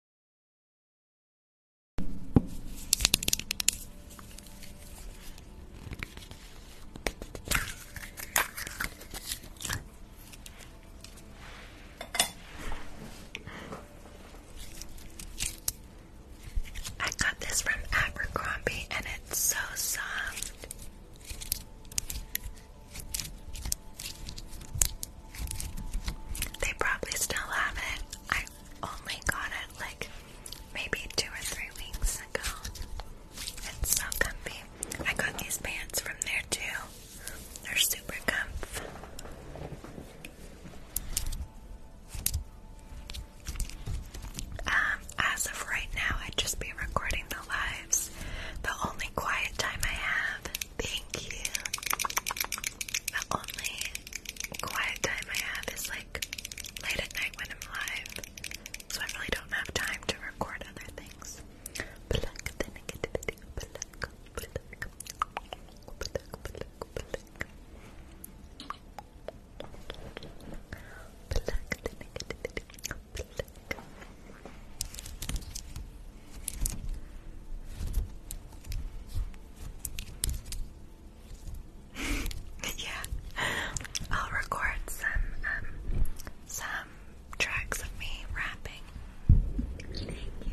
I got this from Abercrombie and it's so soft. They probably still have it. I only got it like maybe two or three weeks ago. It's so comfy. I got these pants from there too. They're super comfy. Um, as of right now, I'd just be recording the lives. The only quiet time I have. Thank you the only quiet time I have is like late at night when I'm alive, so I really don't have time to record other things. yeah, I'll record some um some tracks of me rapping. Thank you,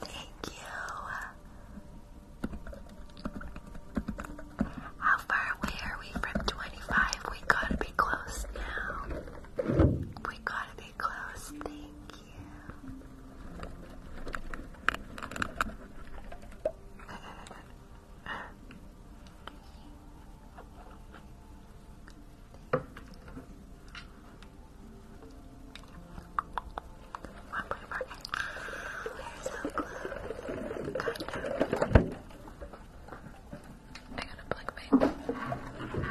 thank you. How far away are we from 25? We gotta be close now. We gotta be close, thank you. One more We're so close. Kind of. I gotta plug my phone. Plug. There we go.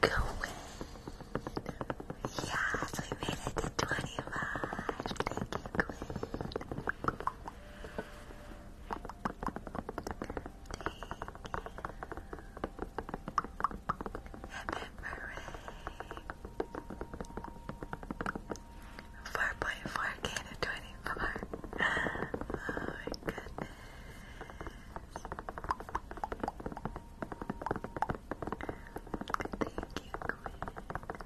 Go away. Yes, we made it to 25. Thank you, Quinn. Four point four K to twenty four. Oh my goodness. Thank you, Quinn.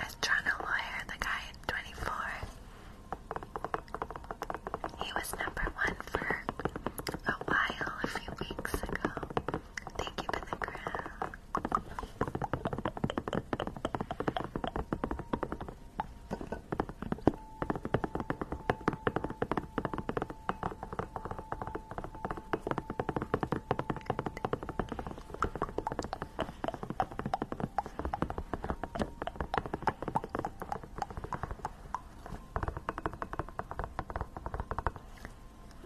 As Toronto lawyer, the guy at 24, he was number one for a while a few weeks ago. Thank you for the crown.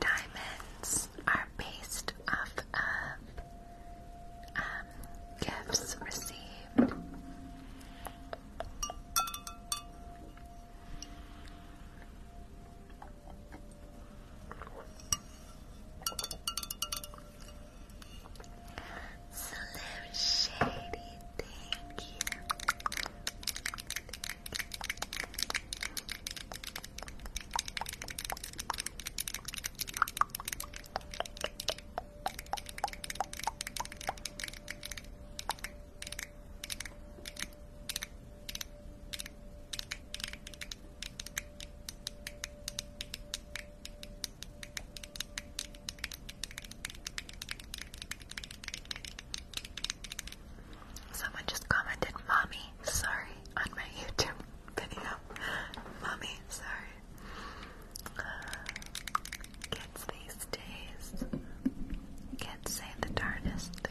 Diamonds are based off of um, gifts received. Slim Shady, Thank you. Someone just commented, Mommy, sorry, on my YouTube video. Mommy, sorry. Kids these days. Kids say the darndest things.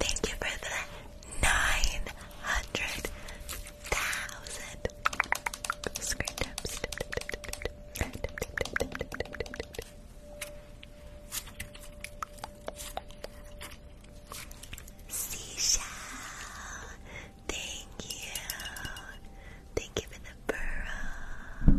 Thank you for the nine hundred thousand screen taps. Seashell, thank you. Thank you for the burrow.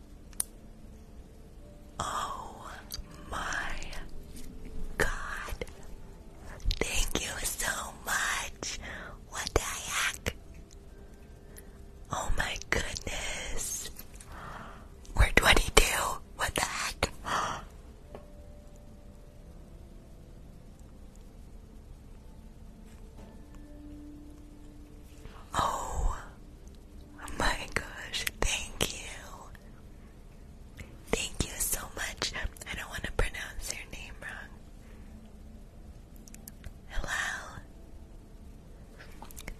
Oh my god. Thank you so much. What the heck? Oh my goodness. We're 22. What the heck? Oh my gosh, thank you. Thank you so much. I don't want to pronounce your name wrong. Hello.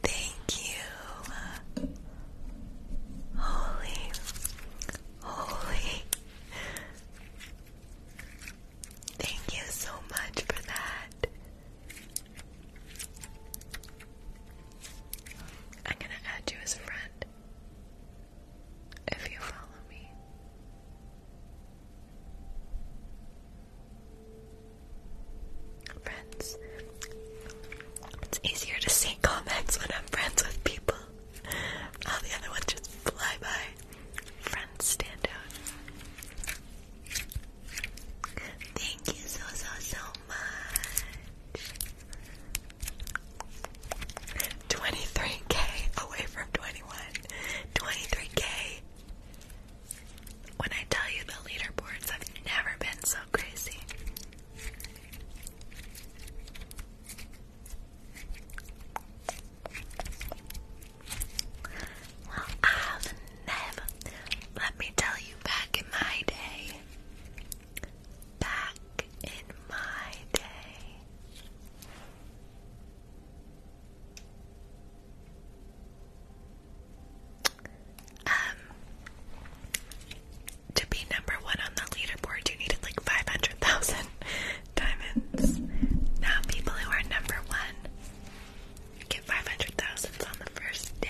Thank you. Holy, holy. Thank you so much for that. I'm gonna add you as a friend if you follow me. Friends. It's easier to see comments when I'm friends with people. All the other ones just fly by. Friends stand out. Thank you so so so much. 23k away from 21. 23k. When I tell you the leaderboards, I've never been so crazy. Well, I've never, let me tell you, back in my day, back in my day, um, to be number one on the leaderboard, you needed like 500,000 diamonds. Now people who are number one, hit 500,000 on the first day.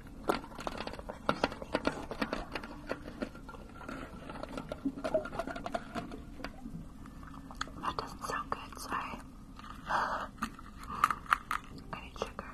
That doesn't sound good, sorry. I need sugar. Sorry.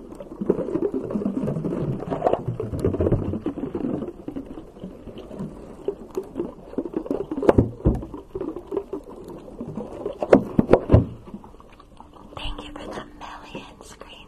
Thank you for the million screen.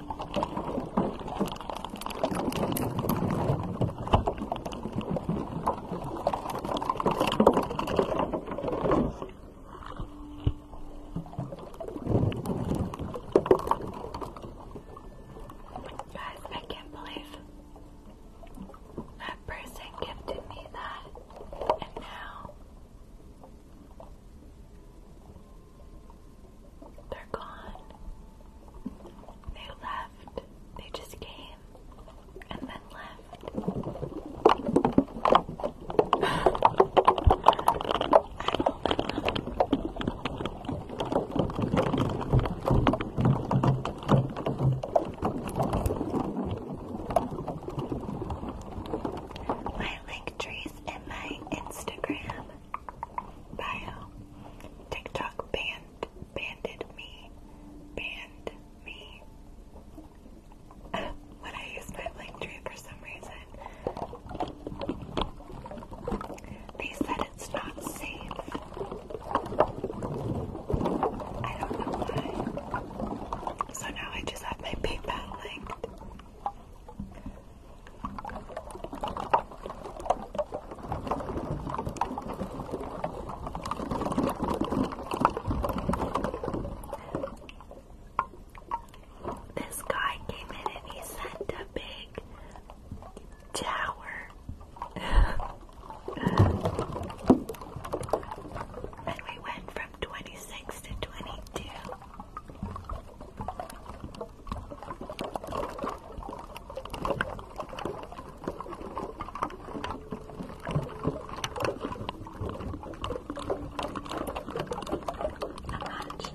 Guys, I can't believe that person gifted me that, and now they're gone. They left. They just came and then left. My link trees in my Instagram Bio. TikTok banned banded me. Banned me. when I use my link tree for some reason. They said it's not safe. I don't know why. So now I just have my PayPal linked. This guy came in and he sent a big tower. and we went from 26 to 22 notch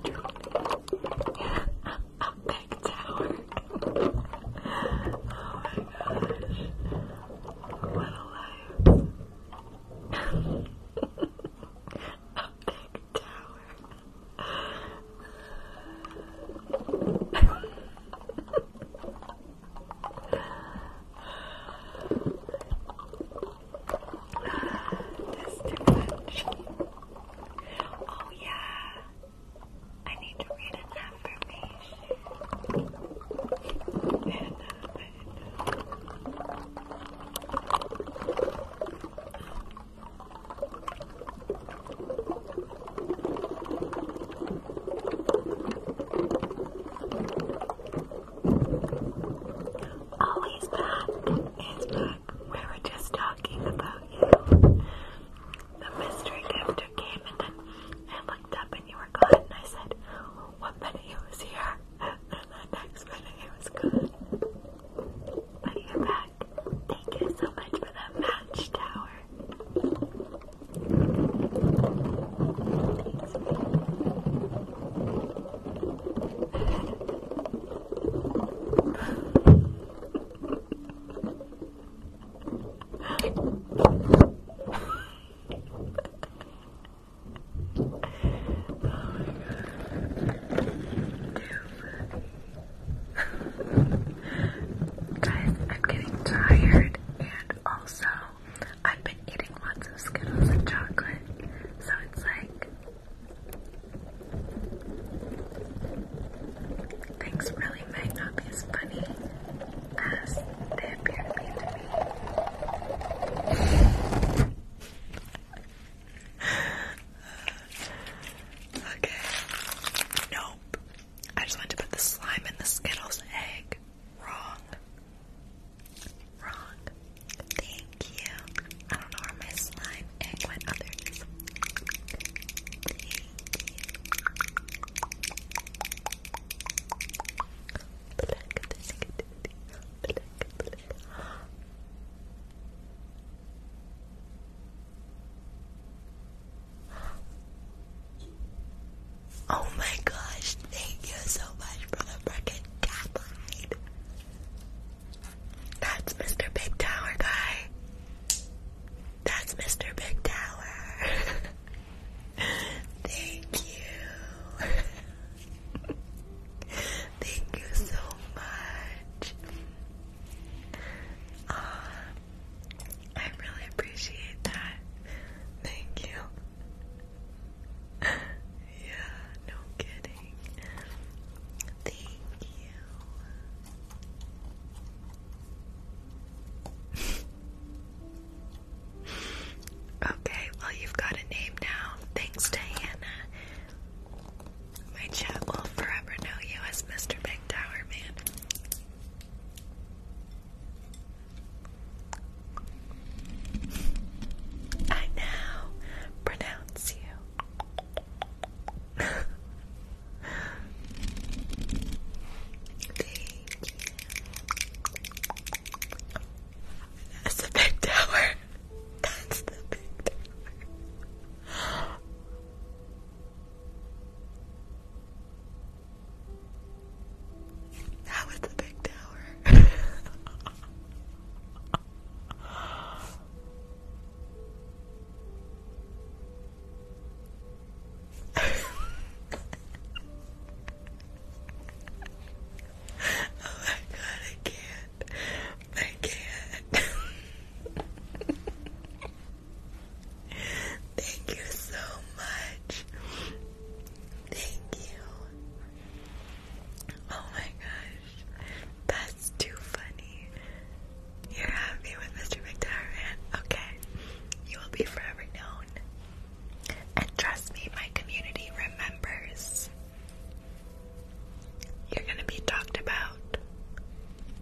and a, a big tower. oh my gosh. What a life. a big tower. That's too much. Oh, yeah. I need to read an affirmation. And, uh, and, uh, Ollie's back is back. We were just talking about you. The mystery gifter came and then I looked up and you were gone and I said, one minute he was here and the next minute he was gone. But you're back that. Thank you so much for that match tower. oh my god. Too funny. Guys, I'm getting tired, and also I've been eating lots of Skittles and chocolate, so it's like things really might not be as funny as they appear to be Okay. Nope. I just wanted to put the slime in the Skittles egg. Wrong. Wrong. Thank you. I do slime egg went. Oh, Oh my gosh, thank you so much for the freaking catline. That's Mr. Big Tower guy. That's Mr. Big Tower. thank you. thank you so much. Ah, I really appreciate that. Thank you. yeah, no kidding. Thank you. okay, well, you've got a name now. Thanks to Hannah. My chat will forever know you as Mr. Big Tower Man. I now pronounce you. Thank you. That's the big tower. That's the big tower. That was the big tower. oh my god, I can't. I can't. Thank you so much. Thank you. Oh my gosh. That's too funny. You're happy with Mr. McDarman. Okay. You will be forever known. And trust me, my community remembers. You're gonna be talked about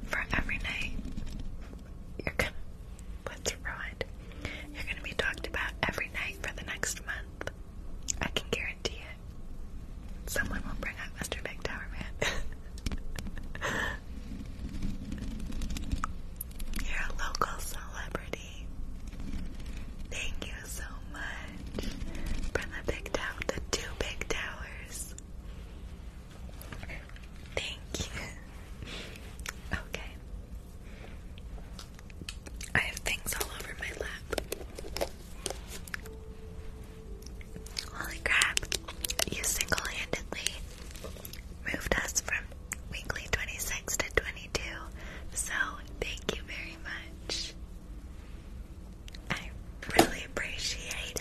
for every night, you're gonna let's You're gonna be talked about every night for the next month. I can guarantee it. Someone will bring up Mr. Big Tower Man. you're a local celebrity. Thank you so much. From the big tower, the two big towers. Thank you. Okay. I have things all over my lap. Holy crap. You single handedly moved us from weekly 26 to 22. So, thank you very much. I really appreciate it.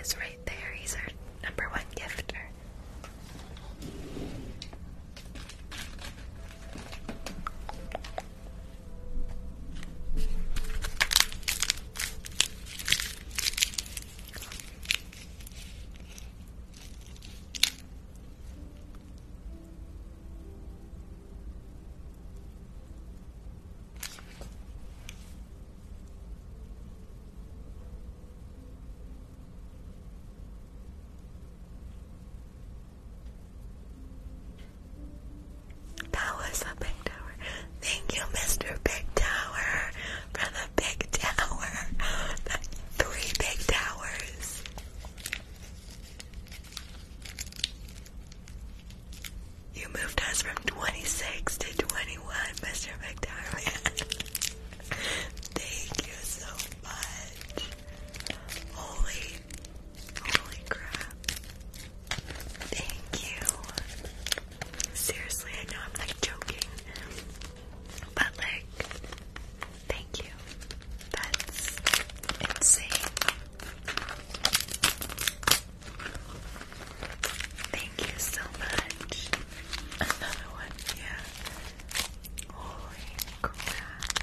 is right there. He's our number one gifter. That was a big tower. Thank you, Mr. Big Tower, for the big tower. three big towers. You moved us from 26 to 21, Mr. McDermott. Thank you so much. Holy, holy crap. Thank you. Seriously, I know I'm like joking, but like, thank you. That's insane. Thank you so much. Another one, yeah. Holy crap.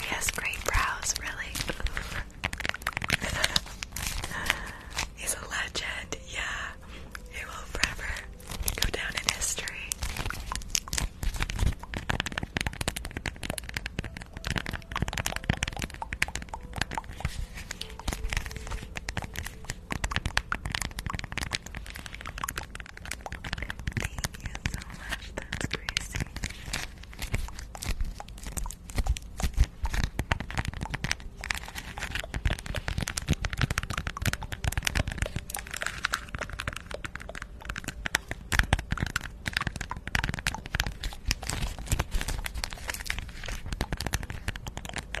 He great brows, really. He's a legend, yeah. He will forever go down in history. Thank you so much, that's crazy. Thank you for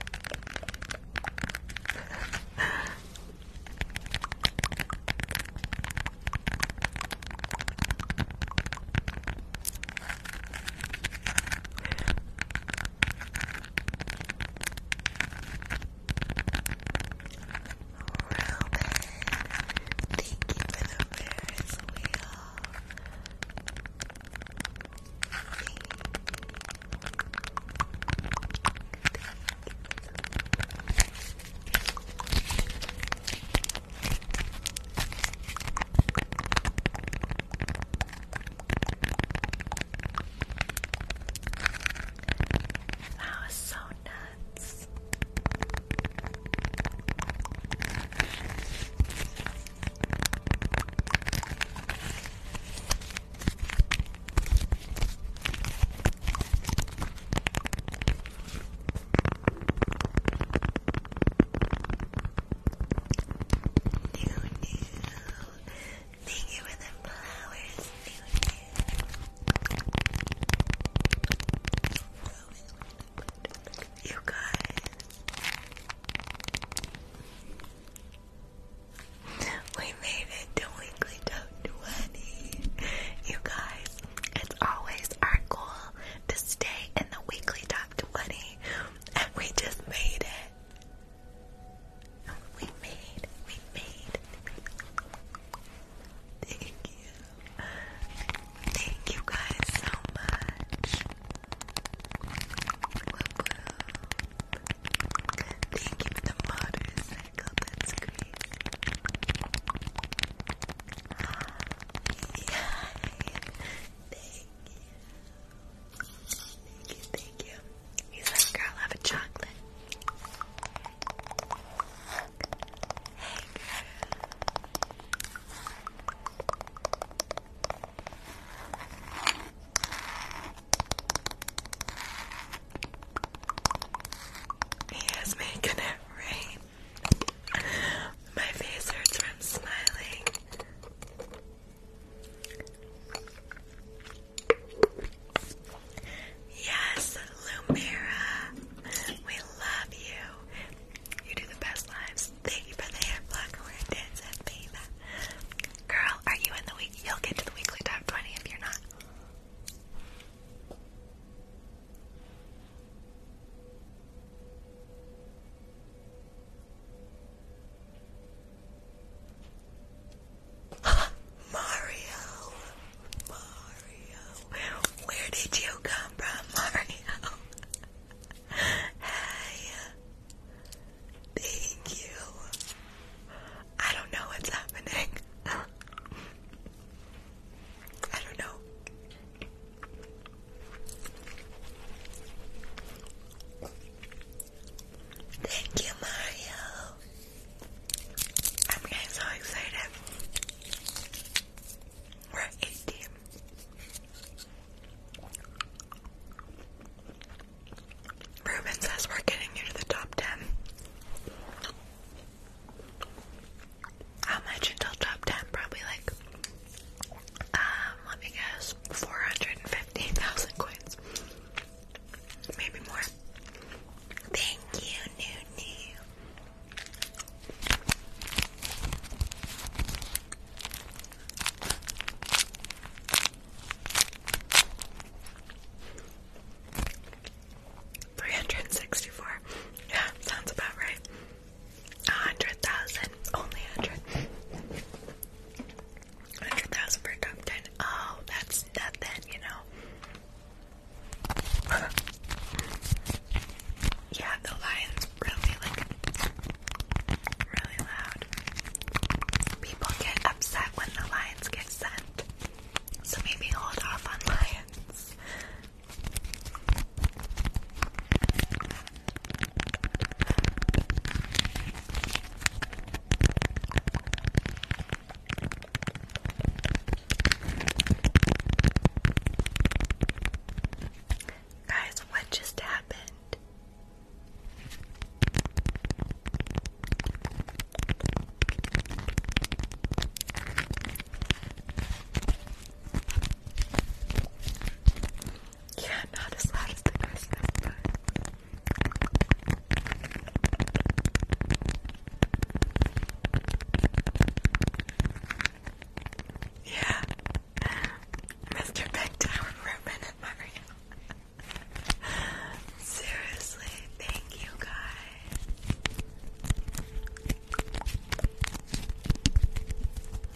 the Ferris wheel. That was so nuts. Thank you for the flowers. You guys. We made it to Weekly Top 20. You guys, it's always our goal to stay in the Weekly Top 20, and we just made it. We made, we made. Thank you. Thank you guys so much. Thank you for the motorcycle, that's crazy. Yeah. Thank you. Thank you, thank girl, have a chocolate. Hey, girl. He is making it rain. My face hurts from smiling. Yes, Lumira, we love you. You do the best lives. Thank you for the hair block where it did send Girl, are you in the week? You'll get to the weekly top 20 if you're not. Mario, Mario, where did you come from, Mario? hey, Thank you. I don't know what's happening. I don't know. Thank you, Mario. I'm getting so excited. We're at 18. Ruben says we're getting you to the top 10. How much until top 10? Probably like, um, let me guess, 415,000 coins. Maybe more. Thank you, Nunu. 364. Yeah, sounds about right. A hundred thousand. Only hundred. hundred thousand for a top Oh, that's nothing, you know. yeah, the lion's really like really loud. People get upset when the lions get sent, so maybe hold off on lions. Guys, what just happened? Yeah, not as loud as the rest yeah, Mr. Big Tower Ribbon and Mario. Seriously, thank you guys.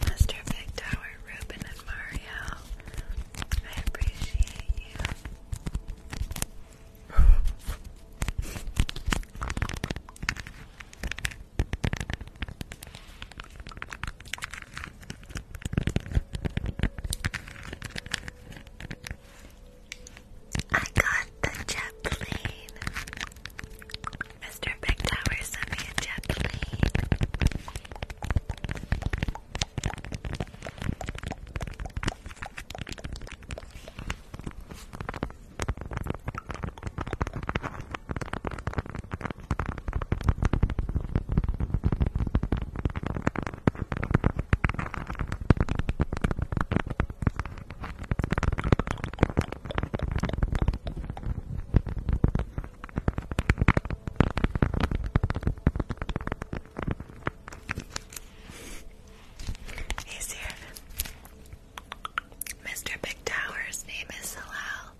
Mr. Big Tower, Ruben, and Mario, I appreciate you. I got the jet plane. Mr. Big Tower sent me a jet plane. Hey, Sarah. Mr. Big Tower's name is Salal.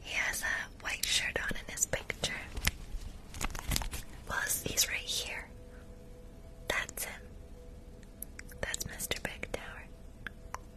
He has a white shirt on in his picture. Well, he's right here. That's him. That's Mr. Big Tower.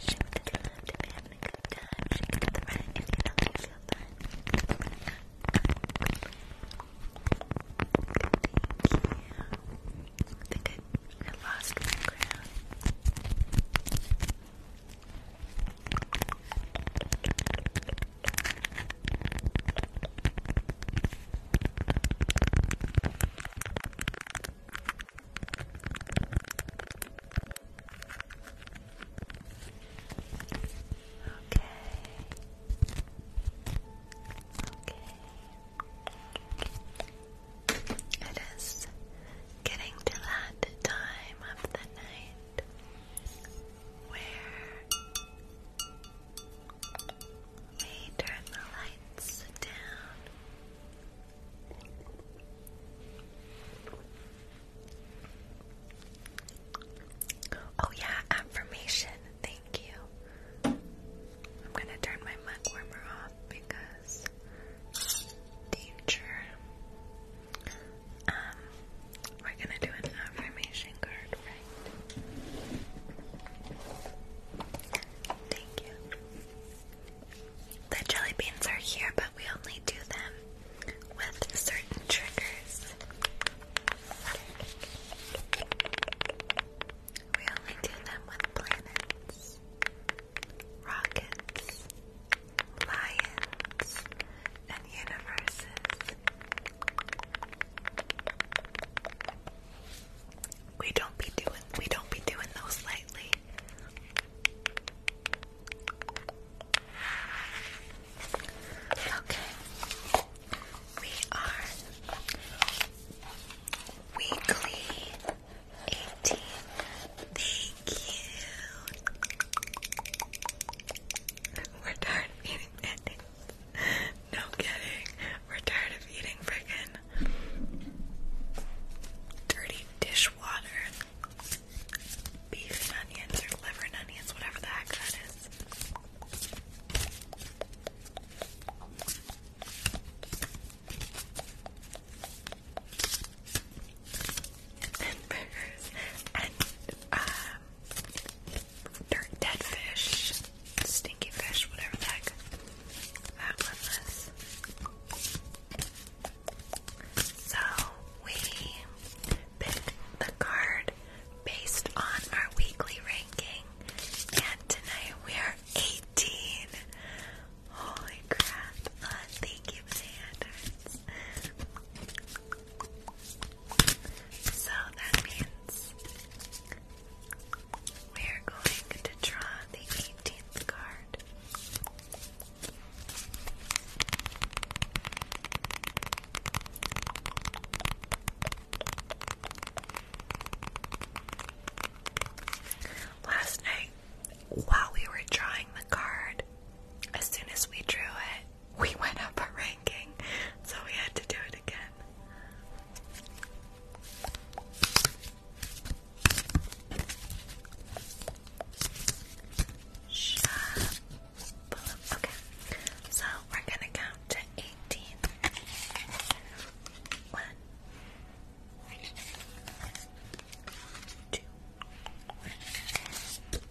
Shift to the left if you're having a good time. Shift to the right if you don't feel fine. Thank you. I think I, lost my crown. It is getting to that time of the night where May turn the lights down. Oh yeah, affirmation. Thank you. I'm gonna turn my mug warmer off because um, danger. Um, we're gonna do an affirmation card Thank you. The jelly beans are here, but we only do them with certain triggers. We only do them with planets, rockets, lions, and universes. We don't be doing we don't be doing those lightly. Okay. We are weekly 18. Thank you. We're tired of eating no kidding. We're tired of eating friggin' dirty dishwater. Beef and onions or liver and onions, whatever the heck that is. And burgers and um, dirt dead fish stinky fish, whatever the heck that one was. So we picked the card based on our weekly ranking, and tonight we are 18. Holy crap! Uh, thank you, Sanders. So that means we are going to draw the 18th card. Last night, while we were drawing the card, as soon as we drew it, we went up a ranking, so we had to do it again. Okay, so we're gonna count to eighteen. One, two, three, four,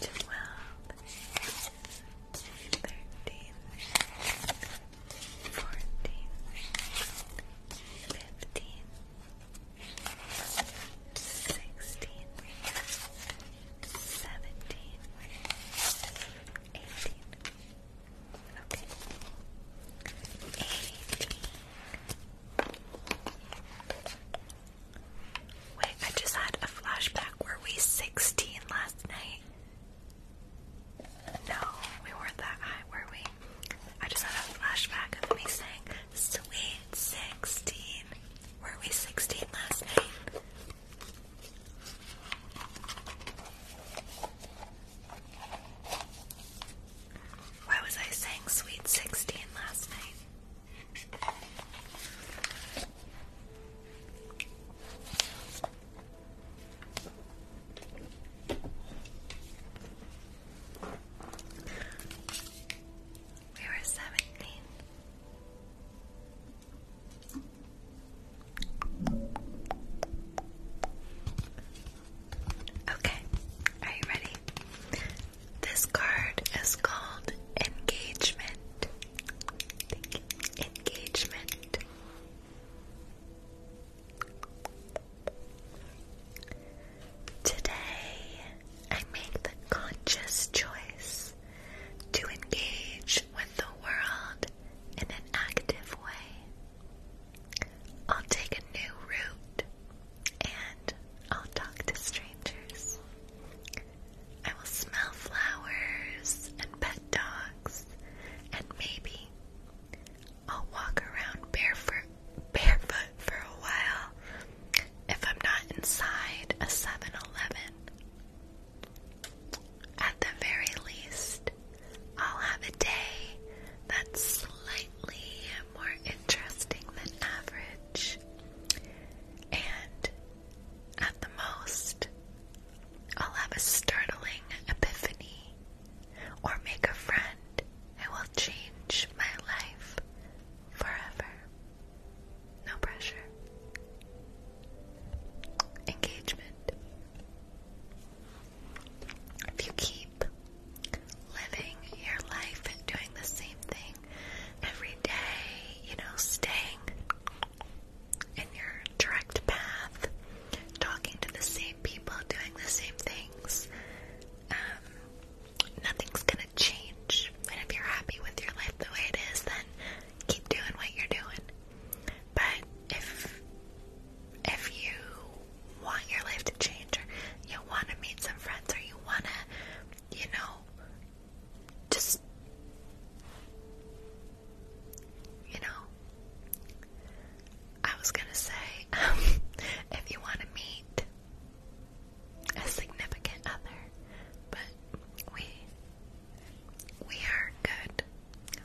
twelve, thirteen, fourteen, fifteen, sixteen, seventeen, eighteen. Okay. Eighteen. Wait, I just had a flashback. Were we 16 last night? No, we weren't that high, were we? I just had a flashback of me saying, Sweet 16. Were we 16 last night? Why was I saying Sweet 16 last night? We were seventeen. Okay, are you ready? This card is called Engagement. Engagement. Today, I make the conscious choice to engage with the world in an active way. I'll take a new route and I'll talk to strangers. I will smell flowers and pet dogs and maybe I'll walk around barefoot barefoot for a while if I'm not inside a 7-Eleven. At the very least, I'll have a day that's slightly more interesting than average. And at the most, I'll have a startling epiphany or make a friend who will change my life forever. No pressure. Engagement. If you keep living your life and doing the same thing, every day, you know, staying in your direct path, talking to the same people, doing the same things, um, nothing's gonna change. And if you're happy with your life the way it is, then keep doing what you're doing. But if if you want your life to change, or you want to meet some friends, or you want to, you know, just you know I was gonna say um, if you want to meet a significant other but we we are good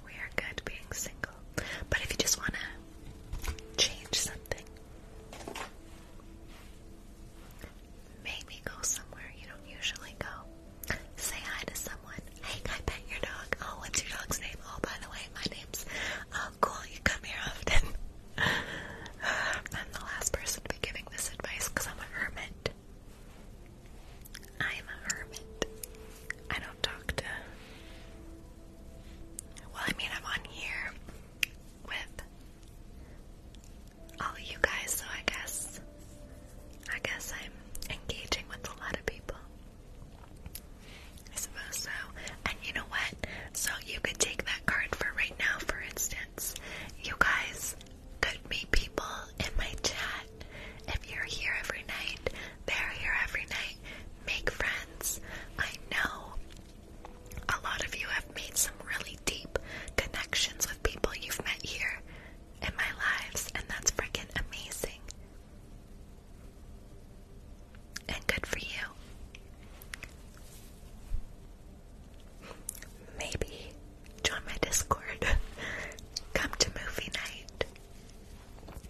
we are good being single but if you just want to change something Maybe go somewhere you don't usually go. Say hi to someone. Hey, can pet your dog? Oh, what's your dog's name? Oh, by the way, my name's. Oh, cool. You come here often. I'm the last person to be giving this advice because I'm a hermit. I'm a hermit. I don't talk to. Well, I mean, I'm on here with all of you guys, so I guess I guess I'm engaging with a lot of people. I suppose so. And you know what? So you could take that card for right now, for instance. You guys could meet people in my chat. If you're here every night, they're here every night. Make friends. I know a lot of you have made some really deep connections with people you've met here in my lives, and that's freaking amazing. And good for you. Maybe join my Discord. Come to movie night.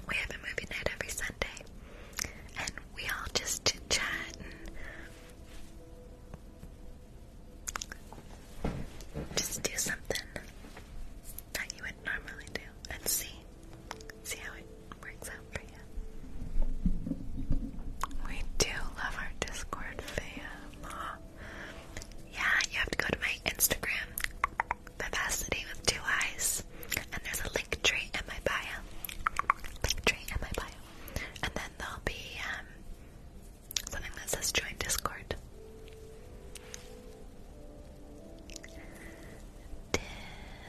We have a movie night every Sunday, and we all just chit chat just do something that you would normally do and see. See how it works out for you. We do love our Discord fam. Yeah, you have to go to my Instagram, Vivacity and there's a link tree in my bio. Link tree in my bio. And then there'll be um, Something that says join Discord.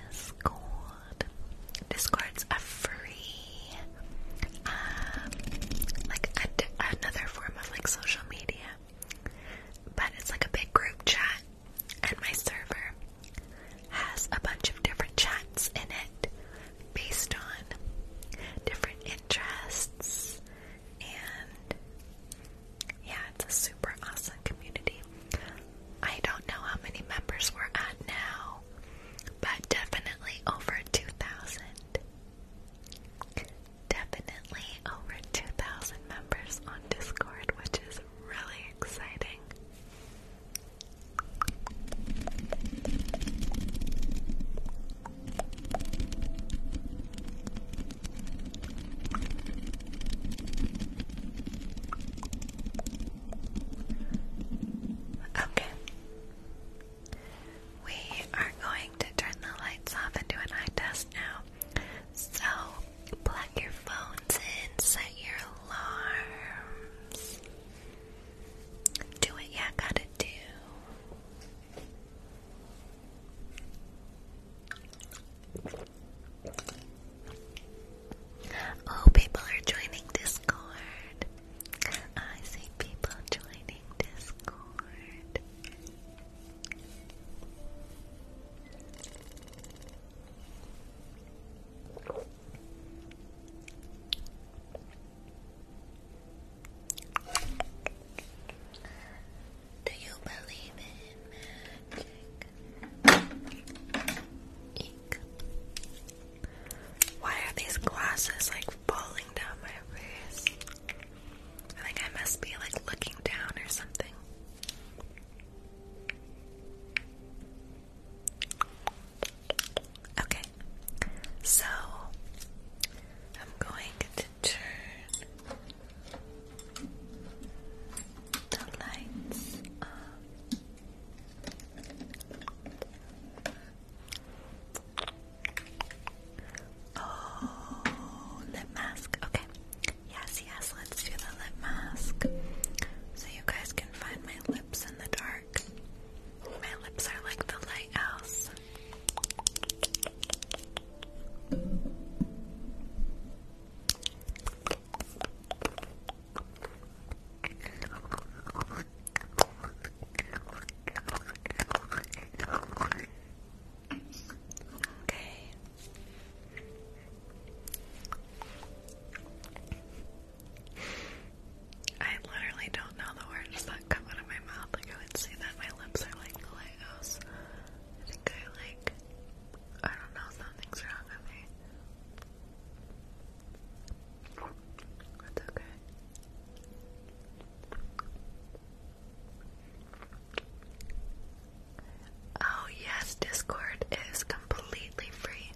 Discord. Discord's a free, um, like another form of like social media, but it's like a big group chat, and my server has a bunch of different chats in it based on different interests and yeah, it's a super awesome community. I don't know how many members we're at now, but definitely over 2,000. Definitely over 2,000 members on Discord, which is really exciting. Okay. We are going to turn the lights off into do an eye test now. So, plug your phones in, set your alarms. Do what you gotta do. Oh, people are joining Discord. I see people joining Discord. Do you believe in magic? Why are these glasses like falling down my face? I think I must be like looking down or something. Okay, so I'm going turn the lights off. Oh, lip mask. Okay. Yes, yes, let's do the lip mask. So you guys can find my lips in the dark. My lips are like the lighthouse, Okay. I literally don't know the words that come out of my mouth. Like I would say that my lips are like I think I like, I don't know, something's wrong with me. That's okay. Oh, yes, Discord is completely free.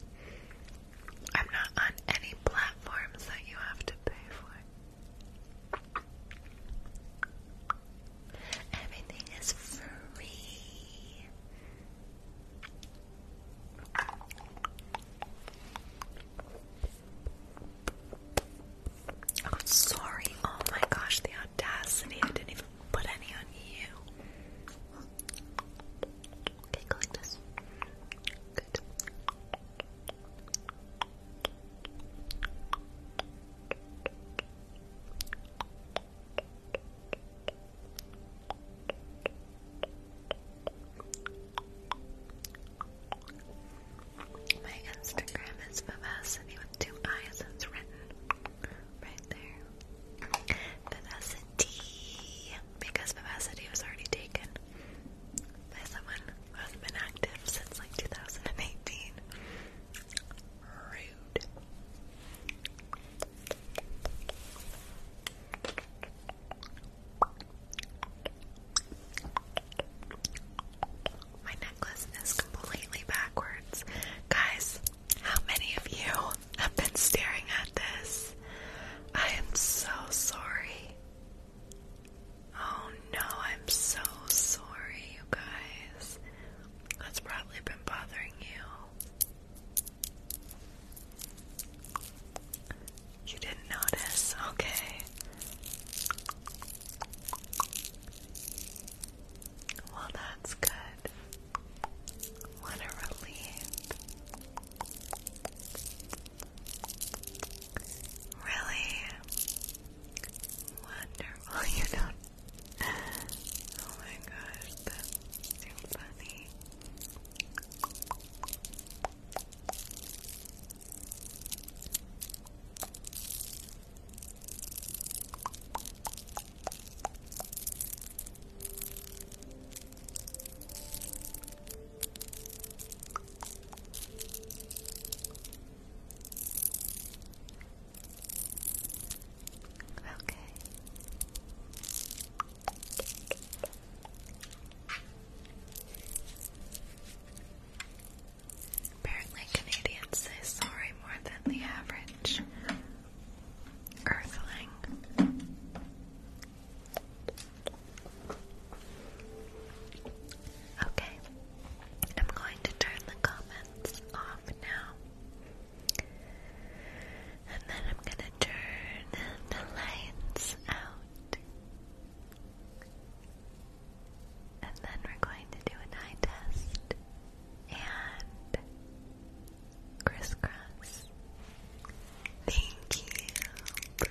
I'm not on any platforms that you have to pay for. Everything is free. Oh, sorry. Oh my gosh, the audacity. I didn't even put any on you. Okay, collect this. My Instagram is Vivacity with two eyes. It's written right there. Vivacity, because Vivacity was already taken by someone who has been active since like 2018. Rude. My necklace is completely backwards. Guys, how many of you have been staring at this? I am so sorry. Oh no, I'm so sorry, you guys. That's probably been bothering you. You didn't notice, okay. Well, that's good. What a relief. Really? Wonderful, you don't. Oh my gosh, that's too funny. Okay. Apparently, Canadians say sorry more than the average earthling. Okay, I'm going to turn the comments off now. And then I'm going to turn the lights out. And then we're going to do an eye test and crisscross. Thank you, Britt.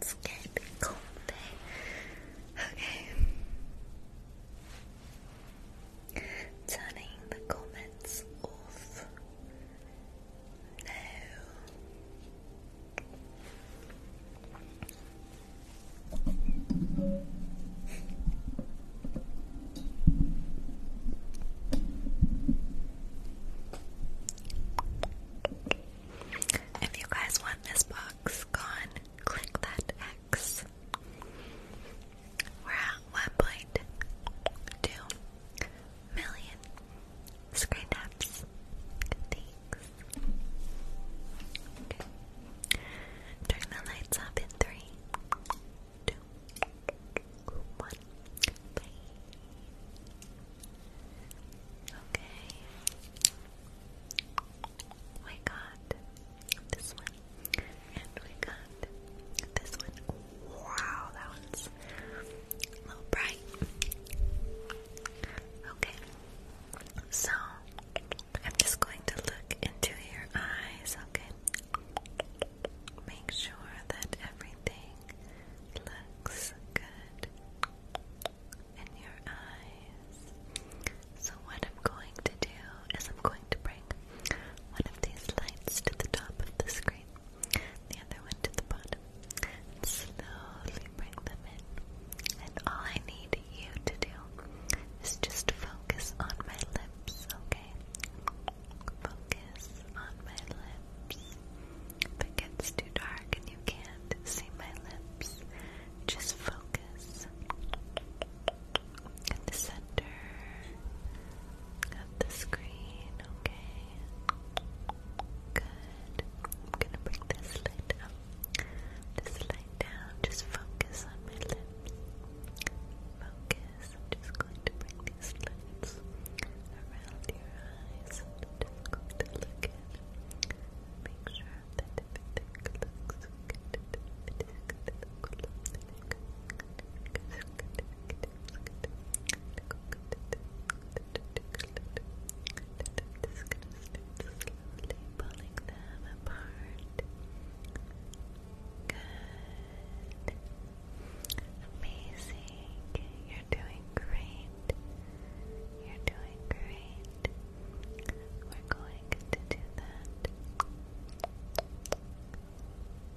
Let's get comfy. Okay. Turning the comments off. No. If you guys want this box gone, click that X. We're at one point two million Screen taps. Thanks. Turn the lights off in three, two, one. Okay. We got this one, and we got this one. Wow, that one's a little bright. Okay, so, I'm just going to look into your eyes, okay? Make sure that everything looks good in your eyes. So, what I'm going to do is, I'm going to bring one of these lights to the top of the screen, the other one to the bottom slowly bring them in. And all I need you to do is just focus on my lips, okay? Focus on my lips. If it gets too dark and you can't see my lips, just focus at the center of the screen, okay? Good. I'm gonna bring this light up just lie down, just focus on my lips. Focus. just going to bring these lights around your eyes. just going to look in. Make sure that everything looks good. Good just gonna start pulling them apart. Good. Amazing. You're doing great. You're doing great. We're going to do that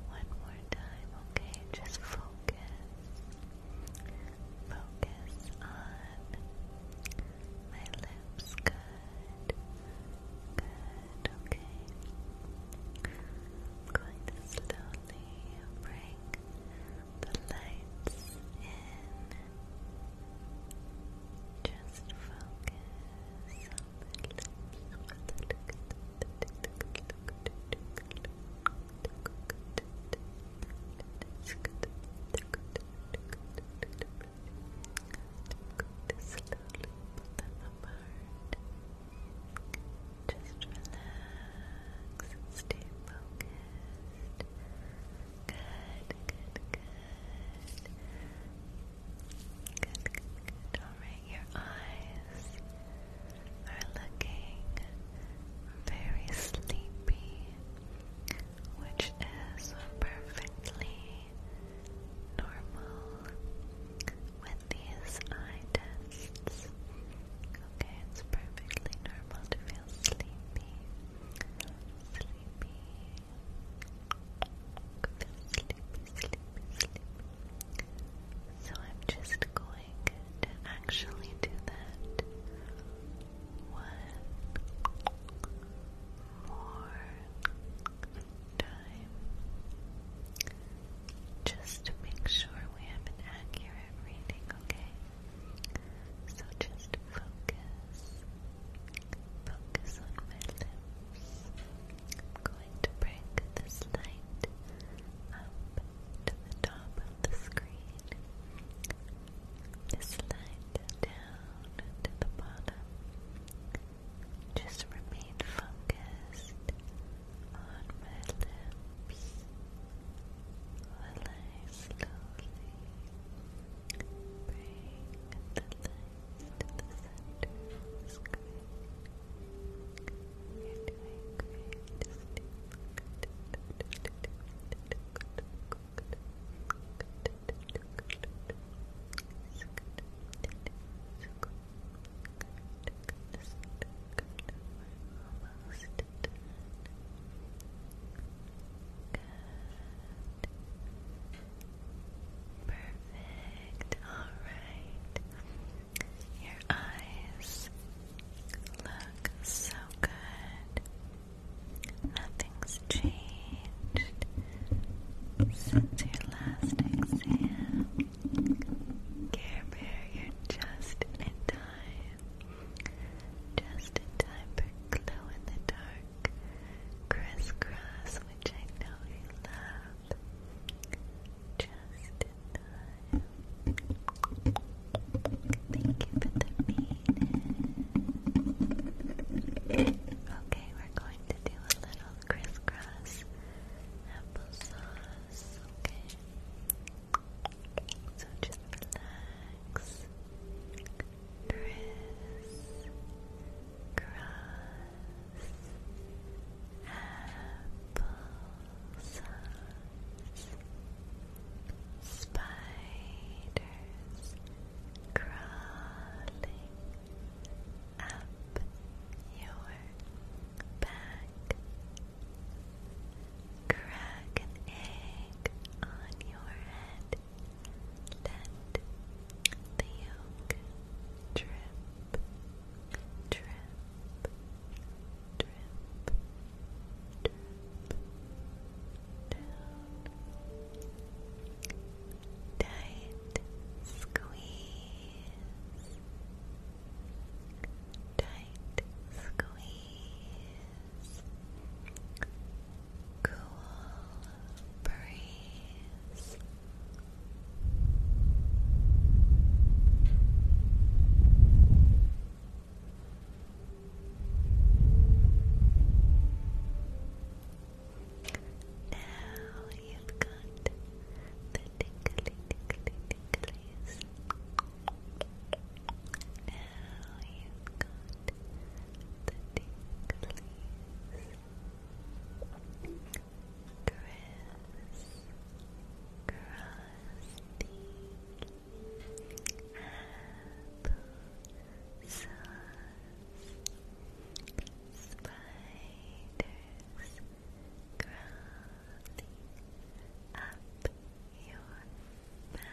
one more time, okay? Just focus. Focus on my lips. Good. Good. Okay. I'm going to slowly bring the lights in. Just focus just relax stay focused. good, good. Good, good, good. Alright, your eyes are looking very sleepy which is perfectly normal with these eye Okay, it's perfectly normal to feel sleepy. Sleepy. sleepy, sleepy, sleepy. So I'm just going to actually do that one more time. Just to make sure we have an accurate reading, okay? So just focus. Focus on my lips. I'm going to bring this light up to the top of the screen slide down to the bottom. Just remain focused on my lips while I slowly bring the light to the center you Perfect. All right. Your eyes look so good. Nothing's changed since your last exam. Care Bear, you're just in time. Just in time for glow in the dark. Crisscross, which I know you love. Just in time. Thank you for the bean. Okay, we're going to do a little crisscross applesauce. Okay. So just relax. Criss applesauce. Spiders crawling up your back. Crack an egg on your head. Let the yolk drip, drip, drip, drip down, tight squeeze, tight squeeze, cool breeze. Now you've got the tickly, tickly, ticklies. Now you've got the ticklies. Chris, Krusty, spiders crawling up your back.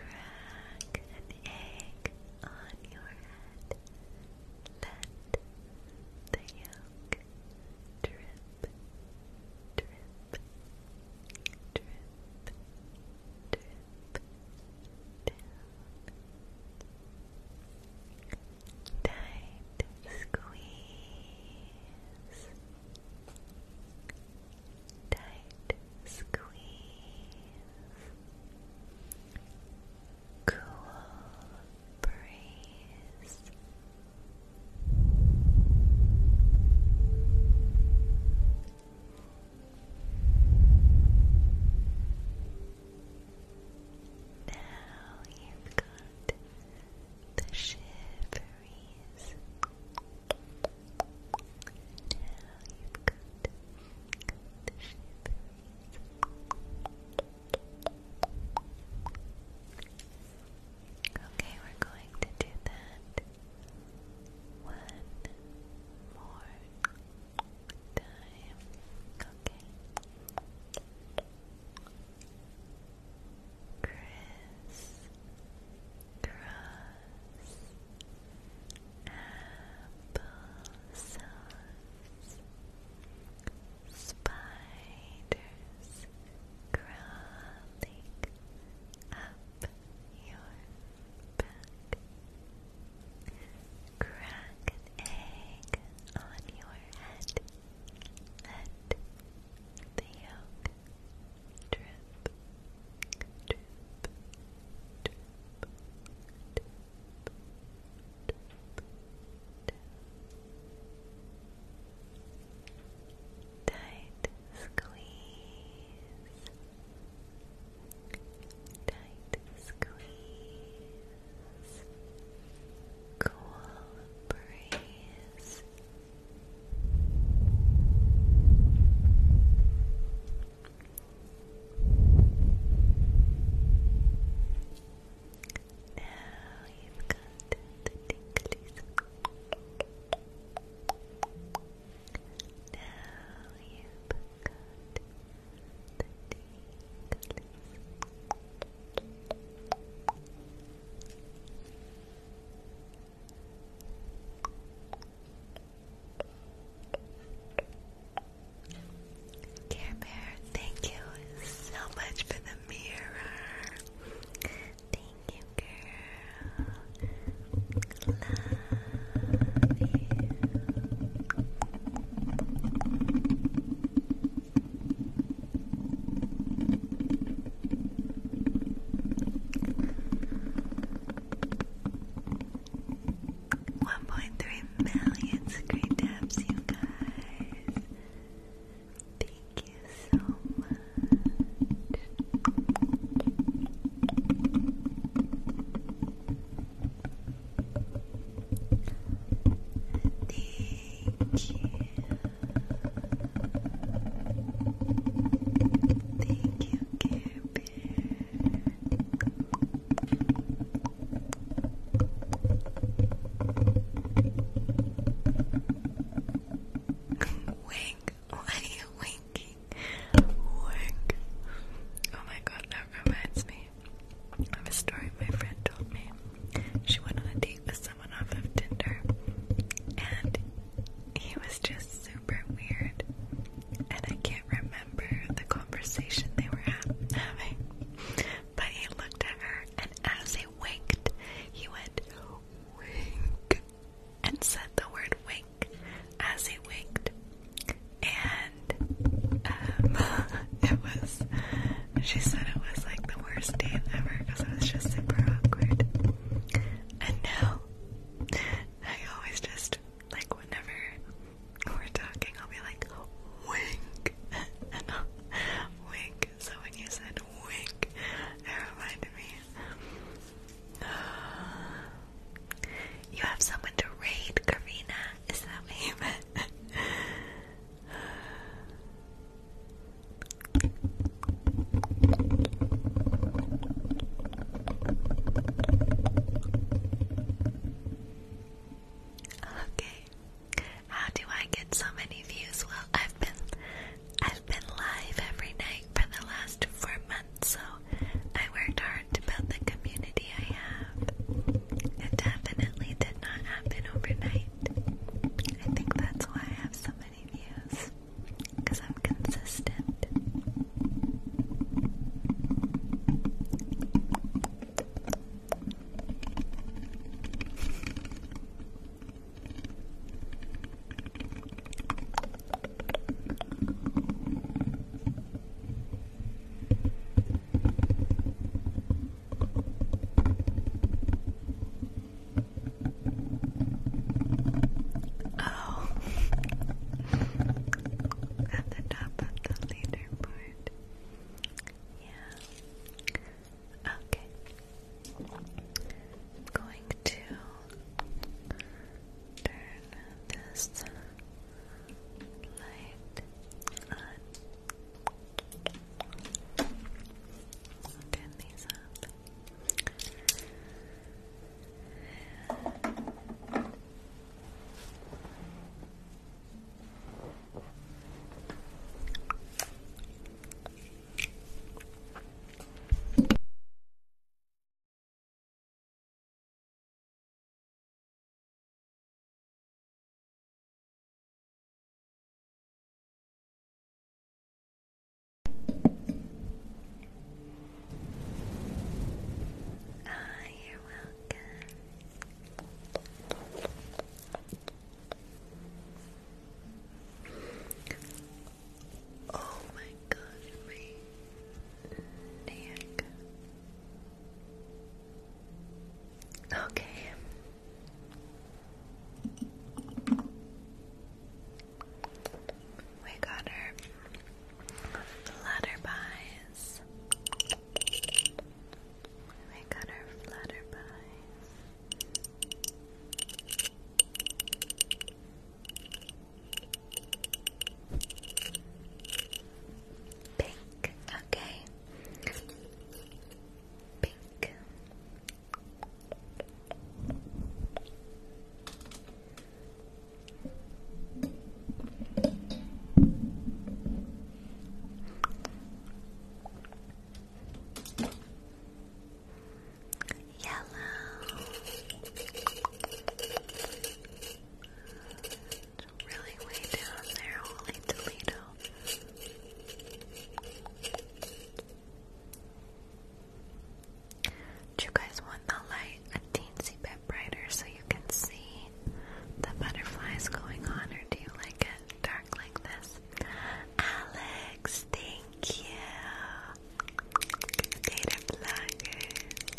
Crack an egg on your head. Let the yolk drip, drip, drip drip down. Tight squeeze. Tight squeeze. Cool breeze. Now you've got the shiveries. Now you've got the shiveries. Okay, we're going to do that one more time. Okay. Chris Cross Spiders crawling up your back. Crack egg on your head. Let the yolk drip, drip, drip, drip, drip, drip. Tight squeeze. Tight squeeze. Cool breeze. Now you've got the tinklies. Now thank you so much for the mirror. Thank you, girl. One point three million screen taps, you guys. Thank you so much. Thank you. Thank you, Care Bear. wanking, wank. Oh my god, that reminds me of a story my friend told me. She went on a date with someone off of Tinder, and he was just super weird. And I can't remember the conversation they were having, but he looked at her, and as he winked, he went wink and said the word wink wink as he winked. And um, it was, she said it was like the worst date ever because it was just super awkward. And now, I always just, like, whenever we're talking, I'll be like, wink. and wink. So when you said wink, it reminded me you have someone to raid, Karina. Is that what you meant? Okay. How do I get so many views? Well, I've been I've been live every night for the last four months, so I worked hard to build the community I have. It definitely did not happen overnight. I think that's why I have so many views, because I'm consistent. Oh, at the top of the leaderboard. Yeah. Okay. I'm going to turn this light on. Turn these up. Ah, you're welcome. Oh my gosh, me neck. Okay. We got her flutterbies. We got her flutterbies. Pink, okay. Pink. Yellow really way down there, holy Toledo. Do you guys want the light a teensy bit brighter so you can see the butterflies going on, or do you like it dark like this? Alex, thank you. Data bloggers.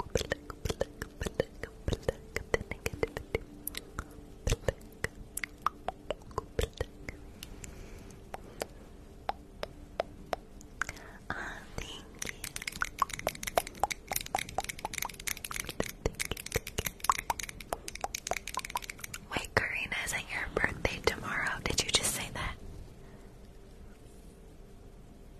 oh, thank you. Wait, Karina, isn't your birthday tomorrow? Did you just say that?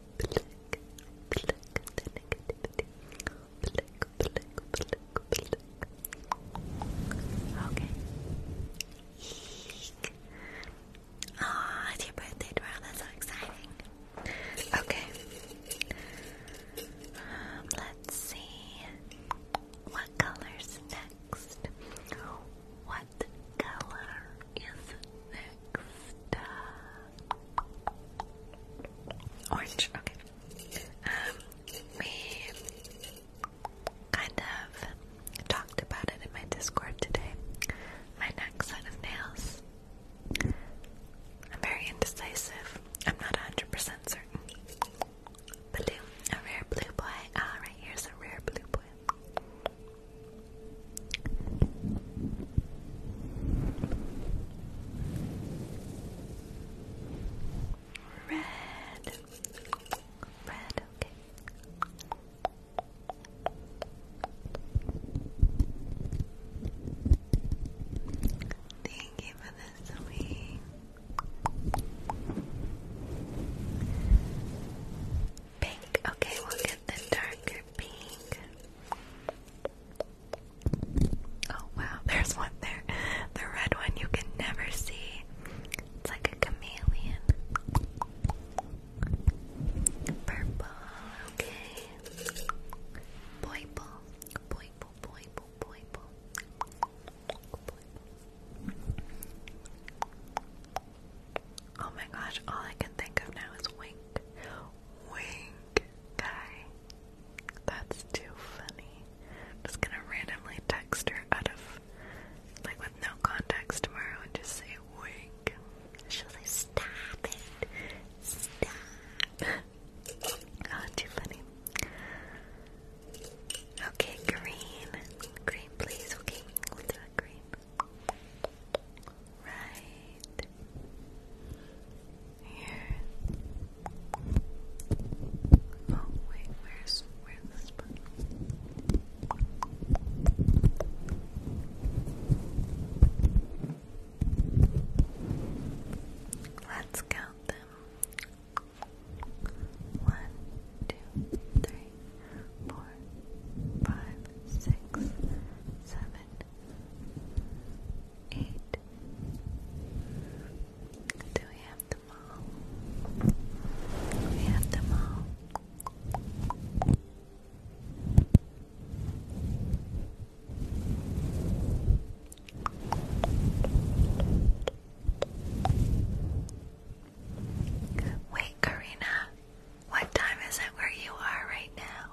Okay. Eek. Aw, it's your birthday tomorrow. That's so exciting. Okay. let's see. What color's next? What color is next? Orange, okay. Um, we kind of talked about it in my Discord today. My next set of nails. I'm very indecisive. I'm not 100% certain. Blue, a rare blue boy. Ah, right here's a rare blue boy. Red. Red, okay. Thank you for this week. Pink, okay, we'll get the darker pink. Oh wow, there's one there. The red one you can never see. It's like a chameleon. Purple, okay. Boiple, boiple, boiple, boiple. Oh my gosh, all I can think of now is wink. Wink guy. That's too funny. just gonna randomly text her out of, like, with no context tomorrow and just say wink. She'll say, stop it. Stop. Oh, too funny. Okay, green. Green, please. Okay, we'll do it green right here. Oh wait, where's where's this button? Let's count them. One, two, three, four, five, six, seven, eight. Do we have them all? We have them all. Wait, Karina, what time is it where you are right now?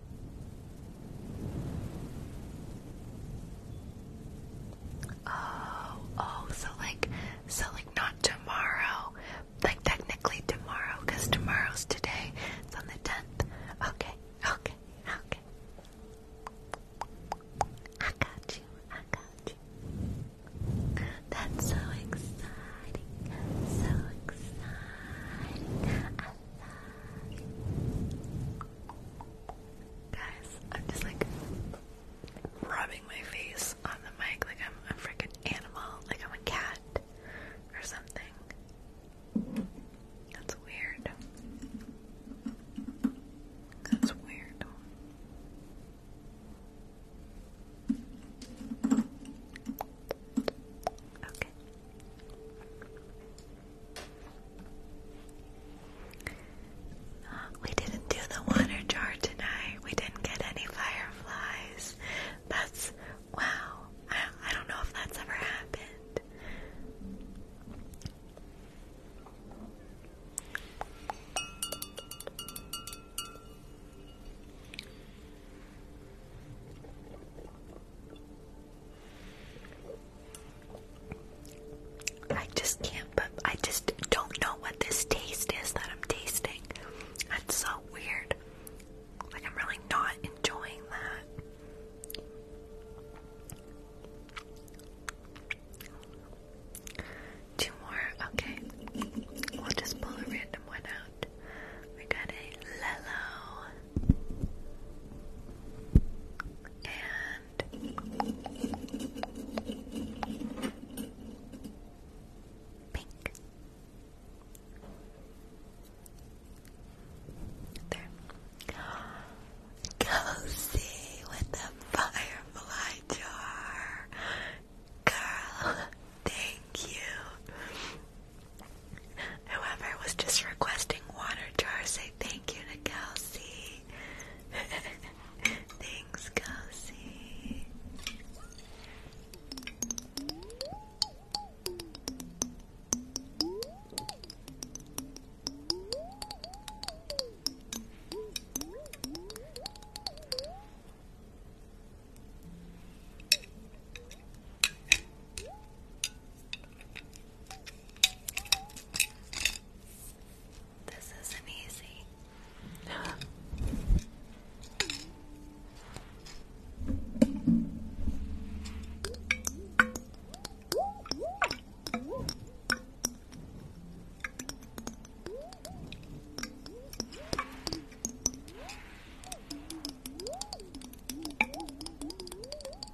Oh, oh, so like, so like not tomorrow, like technically tomorrow, because tomorrow's today. It's on the tenth. Okay, okay, okay. I got you. I got you. That's so exciting. So exciting. I love it. Guys, I'm just like rubbing my face on the mic like I'm a freaking animal, like I'm a cat or something. That's weird. That's weird. Okay we didn't do the water jar tonight. We didn't get any fireflies. That's wow. I don't know if that's ever happened. I just can't, but I just don't know what this taste is that I'm tasting. That's so weird. Like, I'm really not enjoying that. Two more, okay. We'll just pull a random one out. We got a Lello and pink. There. Cozy with the firefly jar. Girl, thank you. Whoever was just requesting water jar, say thank Thank you to Kelsey. Thanks, Kelsey. This isn't easy.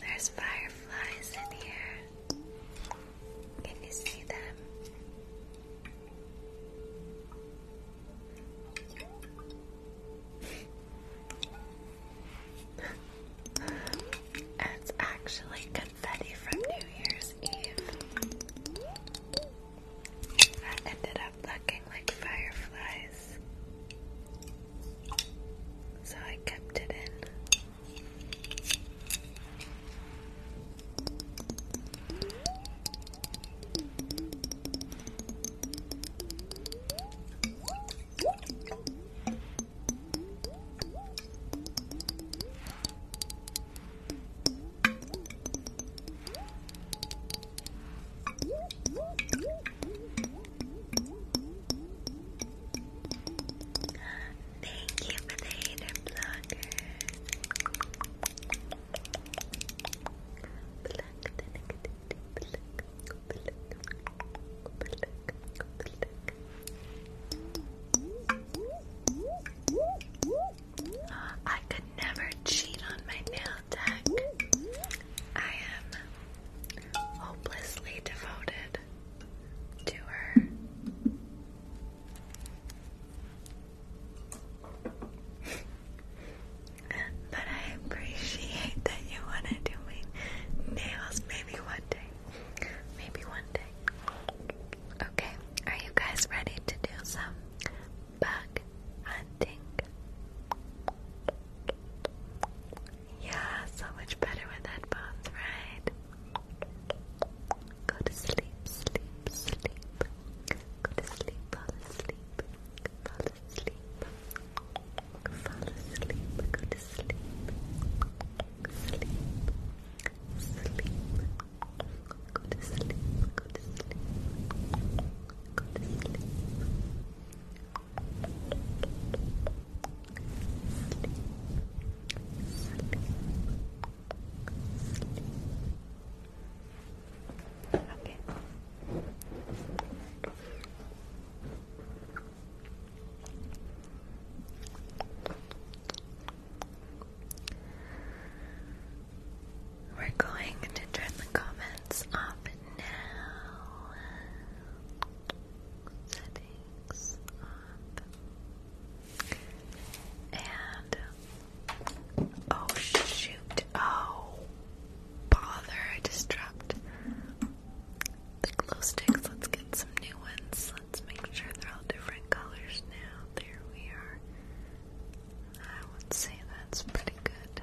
There's fireflies in here. Can you see them? it's actually confetti from New Year's Eve. That ended up looking like fireflies so I kept it in. Thank you for the hater blockers. Pluck I could never cheat on my nail tech. I am hopelessly devoted to her. but I appreciate that you want to do my nails. Maybe one day. Maybe one day. Okay, are you guys ready to do some bug hunting? Yeah, so much better with headphones, right? Go to sleep, sleep, sleep. Go to sleep, fall asleep. Fall asleep. Fall asleep. Go to sleep. Sleep. sleep. Go to sleep. Go to sleep. Go to sleep. Okay. We're going to turn the comments off now settings up. And oh shoot. Oh bother, I disrupt the glow sticks. Let's get some new ones. Let's make sure they're all different colors now. There we are. I would say that's pretty good.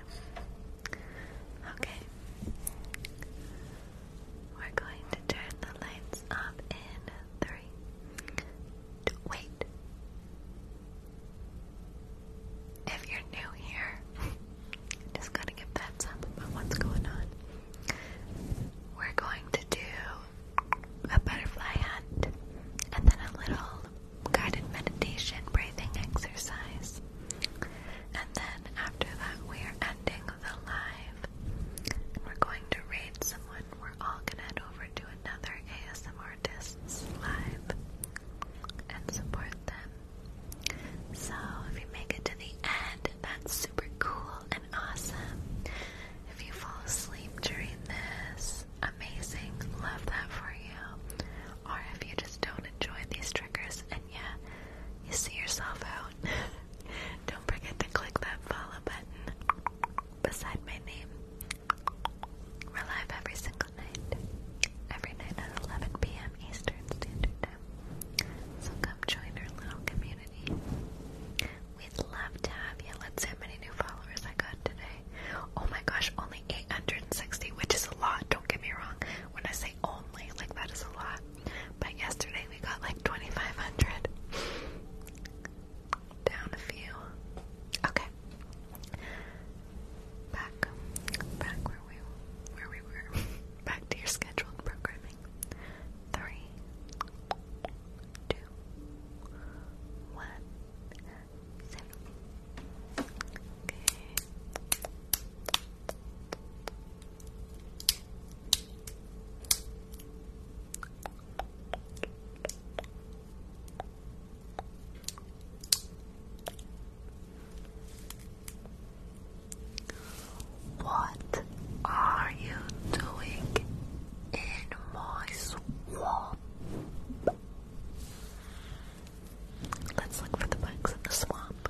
Okay. We're going to turn the lights up in three. wait. If you're new here, just gotta give that up what's going on. We're going to do a butterfly hunt and then a little guided meditation breathing exercise. And then after that, we're ending the live. we're going to raid someone. We're all gonna head over to another ASM artist's live and support them. So if you make it to the end, that's super cool and awesome. If you fall asleep during this, amazing. Love that for you. Or if you just don't enjoy these triggers and yeah, you see yourself out. Don't forget to click that follow button beside my name. We're live every single night. Every night at 11 p.m. Eastern Standard Time. So come join our little community. We'd love to have you. Let's see how many new followers I got today. Oh my gosh, only 860, which is a lot. Don't get me wrong. When I say only, like that is a lot. But yesterday we got like 2,500. Down a few. Okay. Back, back where we where we were. Back to your scheduled programming. Three, two, one, zero. What are you doing in my swamp? Let's look for the bugs in the swamp.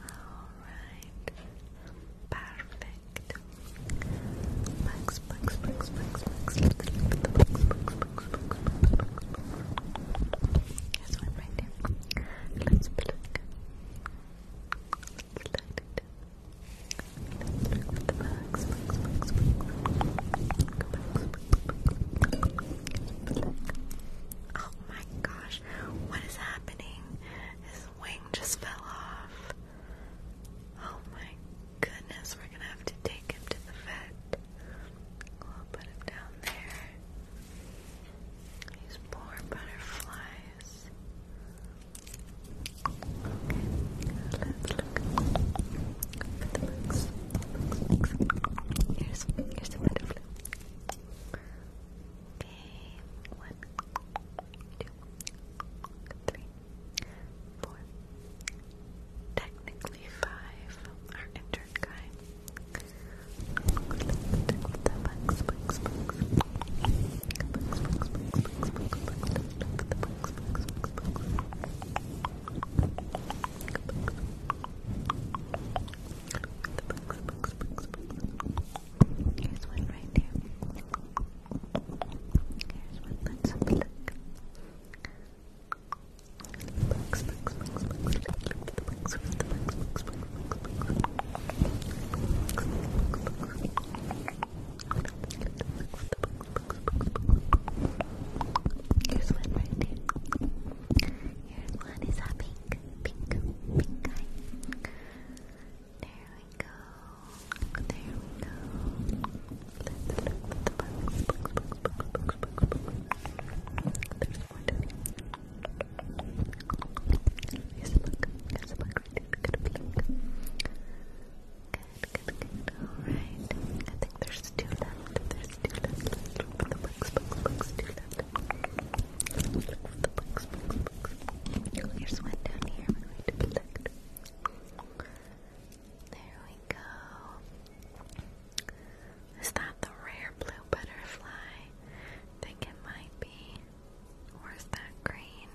Alright. Perfect. Max, max, max, max, max. Let the max, max, max, max, max, This one right there. Let's pluck. Let's light it. Let's look at the max, max, max, max. Max, max, Oh my gosh, what is happening? His wing just fell off. Oh my goodness, we're gonna have to take him to the vet. We'll put him down there. These poor butterflies. Okay, let's look for the books. Here's, here's the butterfly. Okay, one, two, three, four. Technically five. Our intern guy. Here's one right here. Here's one. Let's have a look. Bugs, bugs, bugs, bugs. Look at the bugs. Where's the bugs? Bugs, bugs, bugs, bugs. Bugs, bugs, bugs, bugs. Here's one right here. Here's one is a pink, pink, pink eye. There we go. There we go. Let's There's more There's a think there's two left. There's two left. Let's look for the books, books, books, two left. Let's look for the books, books, books. Oh, here's one down here. We're going to collect. There we go. Is that the rare blue butterfly? I think it might be. Or is that green?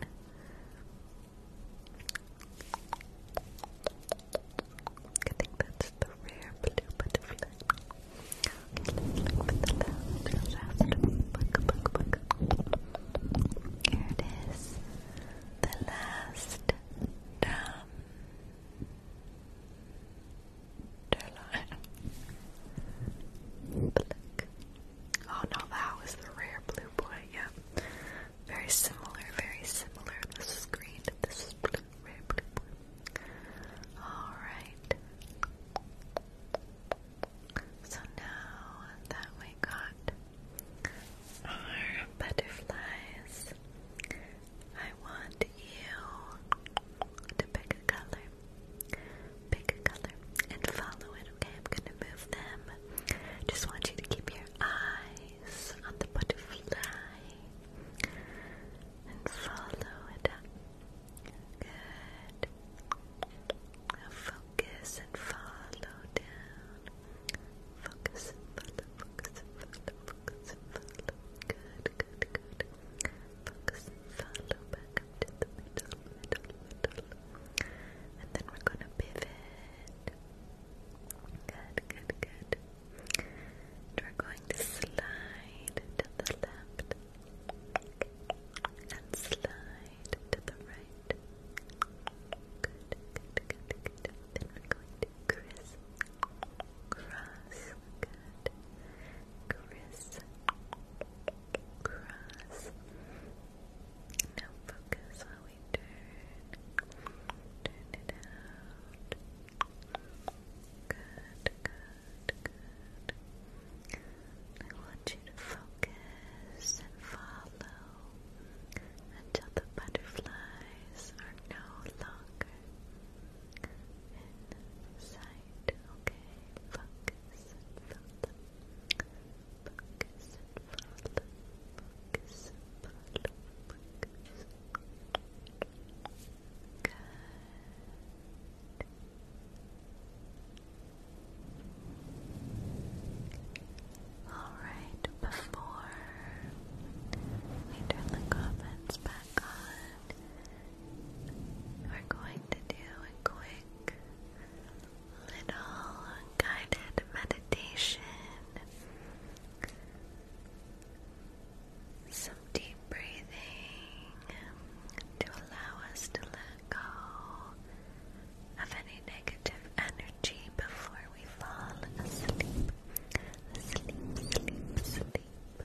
I think that's the rare blue butterfly. Okay, the last, The last Oh no, that was the rare blue boy, yeah. Very similar, very similar. This is green, this is Alright. So now that we got our butterflies, I want you to pick a color. Pick a color and follow it, okay? I'm gonna move them. Just want you to keep your eyes on the butterfly and follow it up. Good. focus and follow down. Focus and follow, focus and focus Good, good, good. Focus and follow back to the middle, middle, middle. And then we're gonna pivot. Good, good, good we're going to slide to the left and slide to the right. Good, good, good, good. Then we're going to criss cross. Good. Criss cross. Now focus while we turn. Turn it out. Good, good, good. I want you to focus and follow until the butterflies are no longer in Okay, focus and follow. Focus and follow. Focus and follow. Good, Alright, before we turn the comments back on, we're going to do a quick little guided meditation some deep breathing to allow us to let go of any negative energy before we fall asleep. Sleep, sleep, sleep.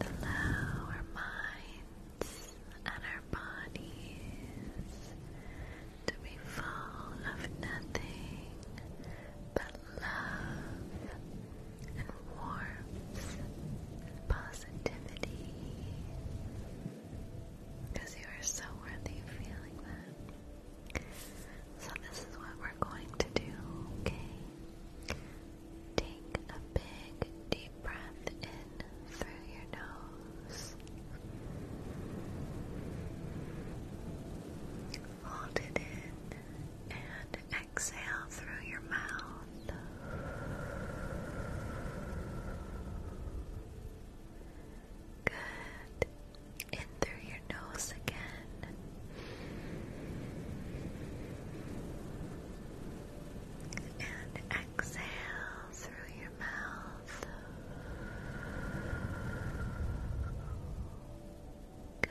The lower minds and our bodies to be full of nothing but love and warmth and positivity. Because you are so worthy of feeling that. So, this is what we're going to do, okay? Take a big, deep breath in through your nose. Hold it in and exhale through your mouth. Good. In through your nose again. And exhale through your mouth. Good.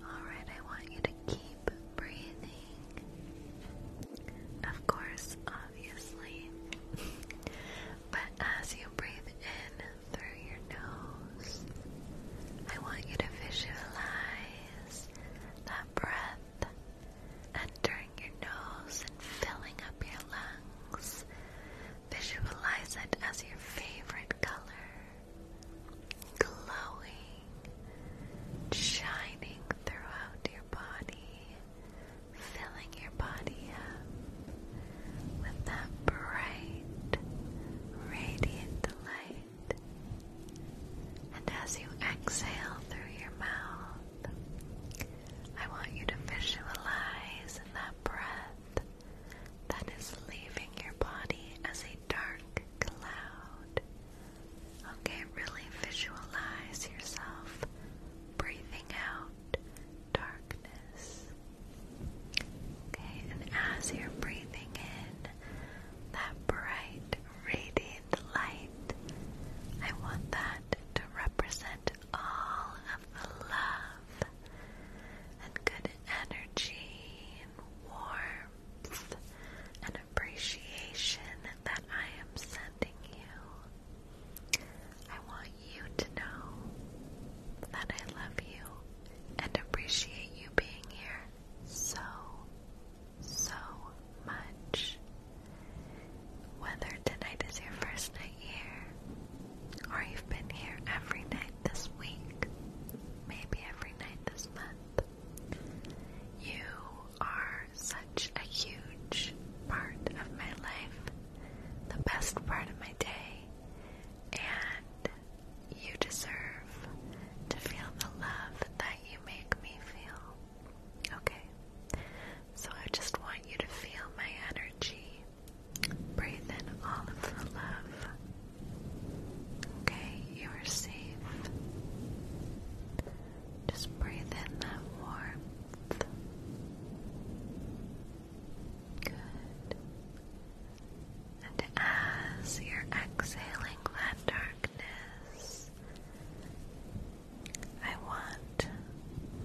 Alright, I want you to keep breathing. Of course, obviously. but as you breathe in through your nose, I want you to visualize that breath entering your nose and filling up your lungs Visualize it as your favorite color, glowing, shining throughout your body, filling your body up with that bright, radiant light. And as you exhale through your mouth, I want you to visualize in that breath that is leaving your body as a dark cloud. Okay, really visualize yourself breathing out darkness. Okay, and as you're breathing in that bright, radiant light, I want that to represent all of the love and good energy warmth and appreciation that I am sending you. I want you to know that I love you and appreciate you being here so, so much. Whether tonight is your first night here, or you've been here every night this week, maybe every night this month, you are such a huge part of my life, the best part of my day, and you deserve to feel the love that you make me feel. Okay? So I just want you to feel my energy Breathe in all of the love. Okay, you are safe. Just breathe in that warmth. Good. And as you're exhaling that darkness, I want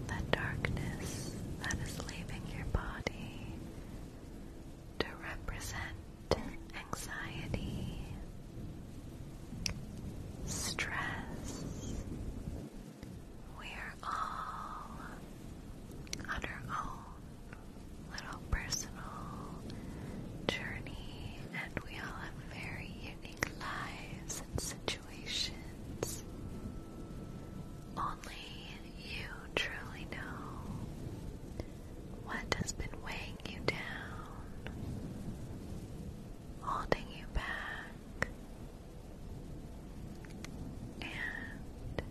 that darkness that is leaving your body to represent anxiety, stress. We are all on our own little personal journey, and we all have very unique lives and situations. Only you truly know what has been weighing you down, holding you back. And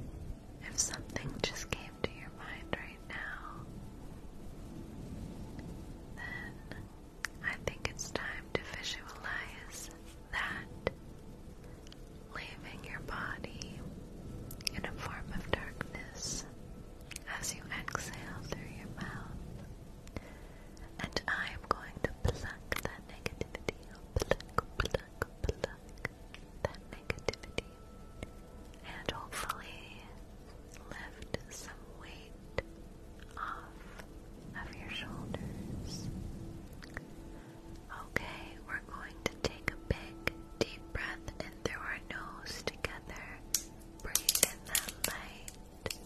if something just came to your mind right now, then I think it's time to visualize that, leaving your body in a form of darkness as you exhale through your mouth. And I am going to pluck that negativity, pluck, pluck, pluck that negativity, and hopefully lift some weight off of your shoulders. Okay, we're going to take a big deep breath in through our nose together. Breathe in that light.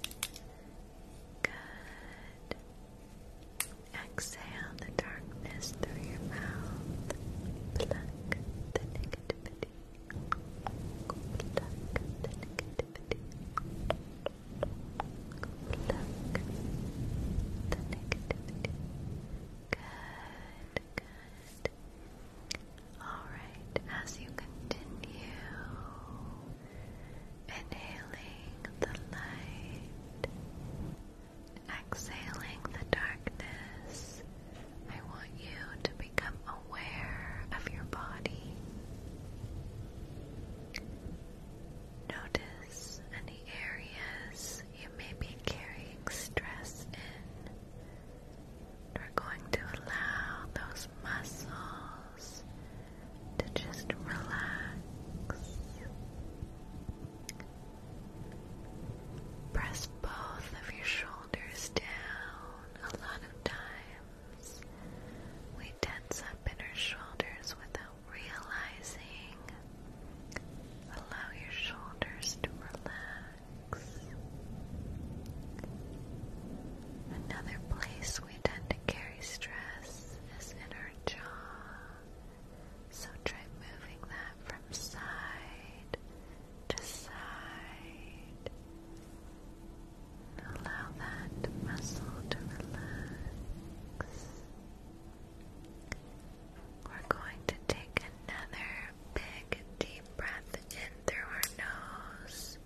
Good. Exhale the darkness through your mouth. Good, good. Alright, as you continue inhaling the light, exhaling the darkness, I want you to become aware of your body. Notice any areas you may be carrying stress in. We're going to allow those muscles to just relax. Press both of your shoulders down. A lot of times we tense up in our shoulders without realizing, allow your shoulders to relax. Another place we tend to carry stress is in our jaw. So try moving that from side to side. Allow that muscle to relax. We're going to take another big deep breath in through our nose.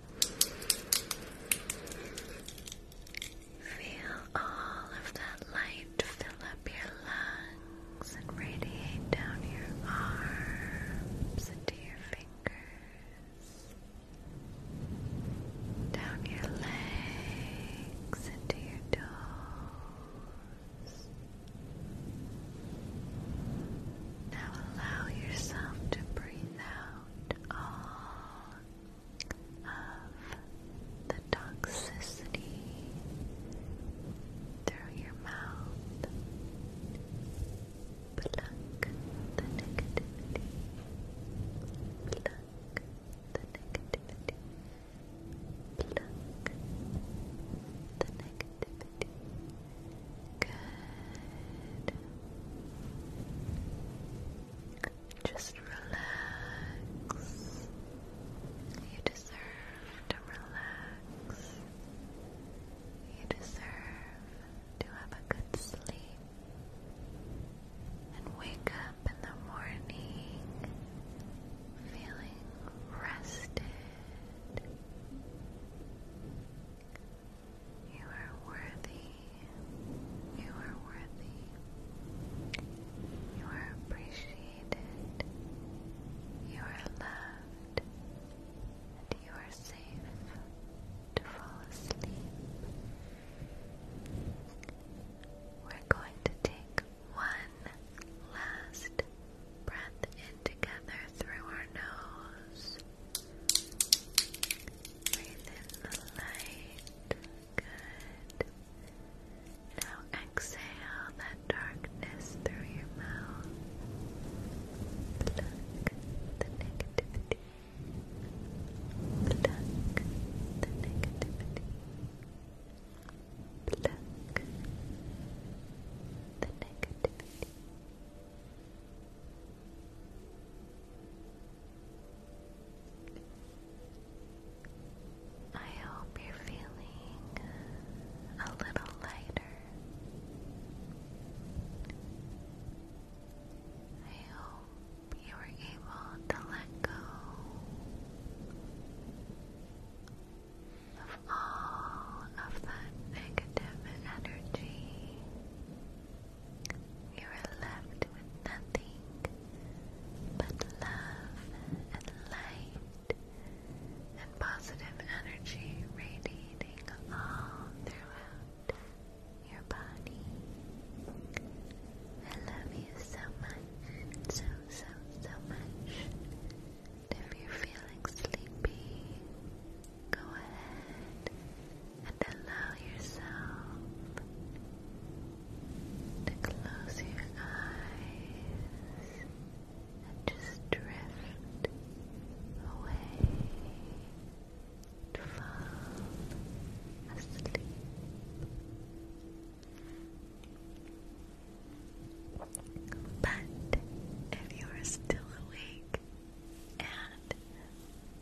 Feel all of that light fill up your lungs and radiate down your arms into your fingers, down your legs into your toes. Now allow yourself to breathe out all of the toxicity through your mouth. Pluck the negativity. Pluck the negativity. Pluck the negativity. Good. Just relax. You deserve to relax. You deserve to have a good sleep. And wake up in the morning feeling rested. You are worthy. You are worthy. You are appreciated. You are loved. And you are safe to fall asleep. We're going to take one last breath in together through our nose. Breathe in the light. Good. Now exhale that darkness through your mouth. the negativity. the negativity. Pluck the negativity. I hope you're feeling a little lighter. I hope you were able to let go of all of that negative energy. You are left with nothing but love and light and positive energy radiating all throughout your body. I love you so much, so, so, so much if you're feeling sleepy, go ahead and allow yourself to close your eyes and just drift away to fall asleep. But if you are still awake and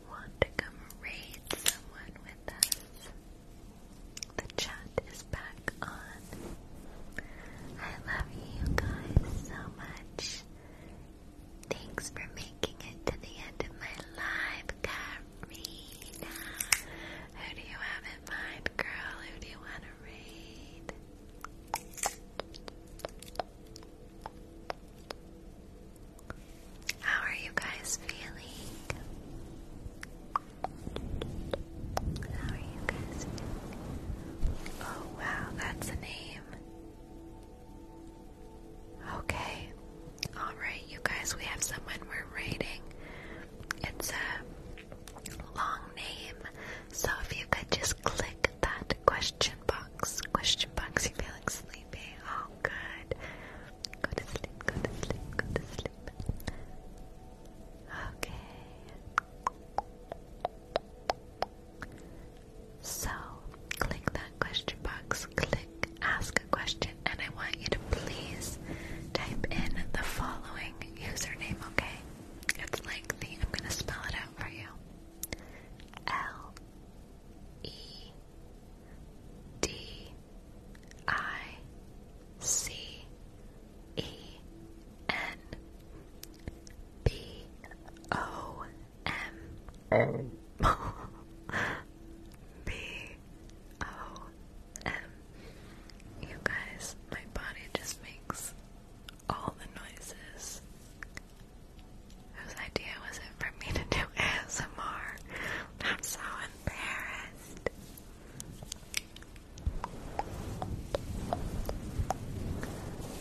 want to come raid someone with us, the chat is back on. I love you guys so much. Thanks for making it to the end of my live, Karina. Who do you have in mind, girl? Who do you want how are you guys feeling? Oh, wow, that's a name. Okay. Alright, you guys, we have someone we're rating. It's a long name. So if you could just click that question box, question box, you feeling sleepy? Oh, good. Go to sleep, go to sleep, go to sleep. Okay. So click that question box, click ask a question, and I want you to please type in the following username, okay? It's like I'm gonna spell it out for you. L E D I C E N B O M B O M you guys, my body just makes all the noises. Whose idea was it for me to do ASMR? I'm so embarrassed.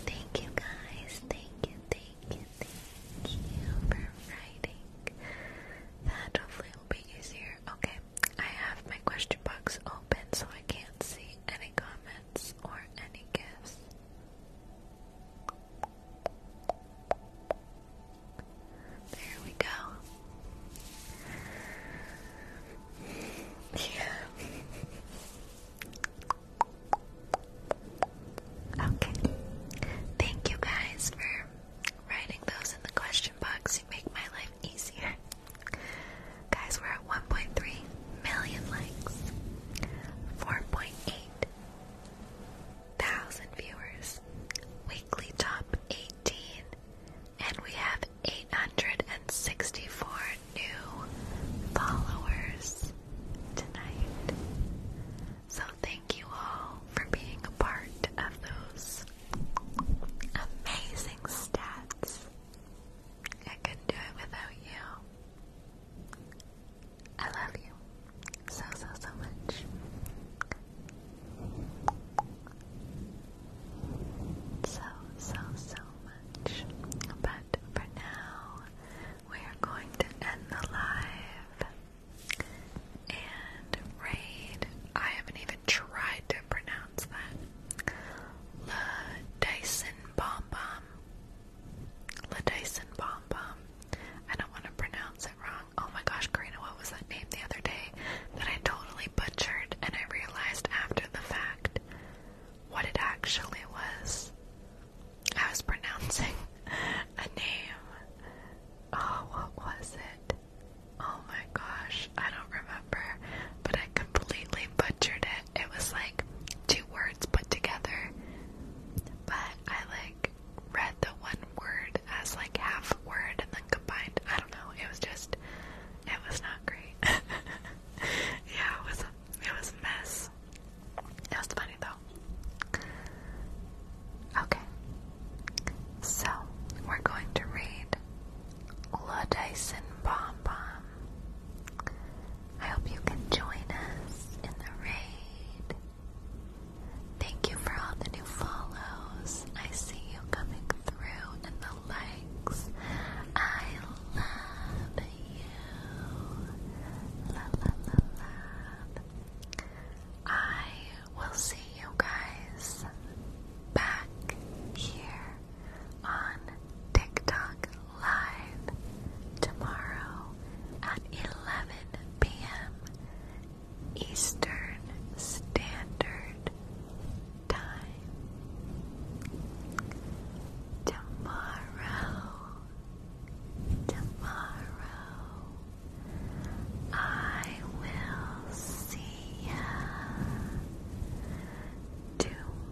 Thank you guys, thank you, thank you, thank you for writing. That hopefully will be easier. Okay. I have my question box open so I can't see any comments or any gifts. There we go. Yeah. Okay. Thank you guys for writing those in the question box. You make my life easier. Guys, we're at 1.3 million likes, 4.8 thousand viewers, weekly top 18, and we have 864 new followers tonight. So thank you all for being a part of those amazing stats. I couldn't do it without you. I love you so, so, so much. So, so, so much. But for now, we are going to end the live and raid. I haven't even tried to pronounce that. Le Dyson Bomb Bomb. Dyson Bomb I don't want to pronounce it wrong. Oh my gosh, Karina, what was that name the other day that I totally butchered and I realized after the fact what it actually was? I was pronouncing a name. Oh, what was it? Oh my gosh. I don't remember, but I completely butchered it. It was like two words put together, but I like read the one word as like half a word and then combined. I don't know. It was just, it was not great. yeah, it was a, it was a mess. It was funny though. Okay, so we're going to read Ludison Bomb Bomb. I hope you can join us in the raid. Thank you for all the new follows. I see you coming through and the likes. I love you. La la la la. I will see you guys back here on TikTok Live tomorrow at 11 p.m. Eastern Standard Time. Tomorrow, tomorrow, I will see ya. Tomorrow.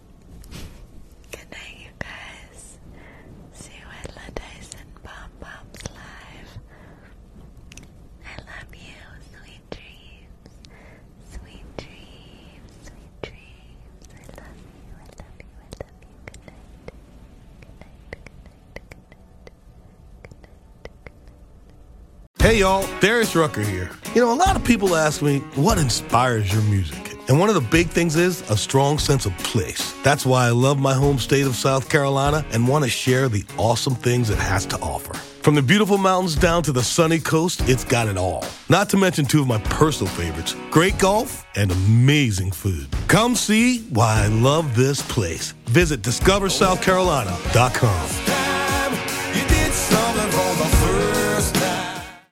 Good night, you guys. See you at La Dyson Bomb Bombs Live. I love you. Sweet dreams. Sweet dreams. Sweet dreams. I love you. I love you. I love you. Good night. Good night. Good night. Good night. Good night. Hey, y'all. Darius Rucker here. You know, a lot of people ask me, what inspires your music? And one of the big things is a strong sense of place. That's why I love my home state of South Carolina and want to share the awesome things it has to offer. From the beautiful mountains down to the sunny coast, it's got it all. Not to mention two of my personal favorites great golf and amazing food. Come see why I love this place. Visit discoversouthcarolina.com.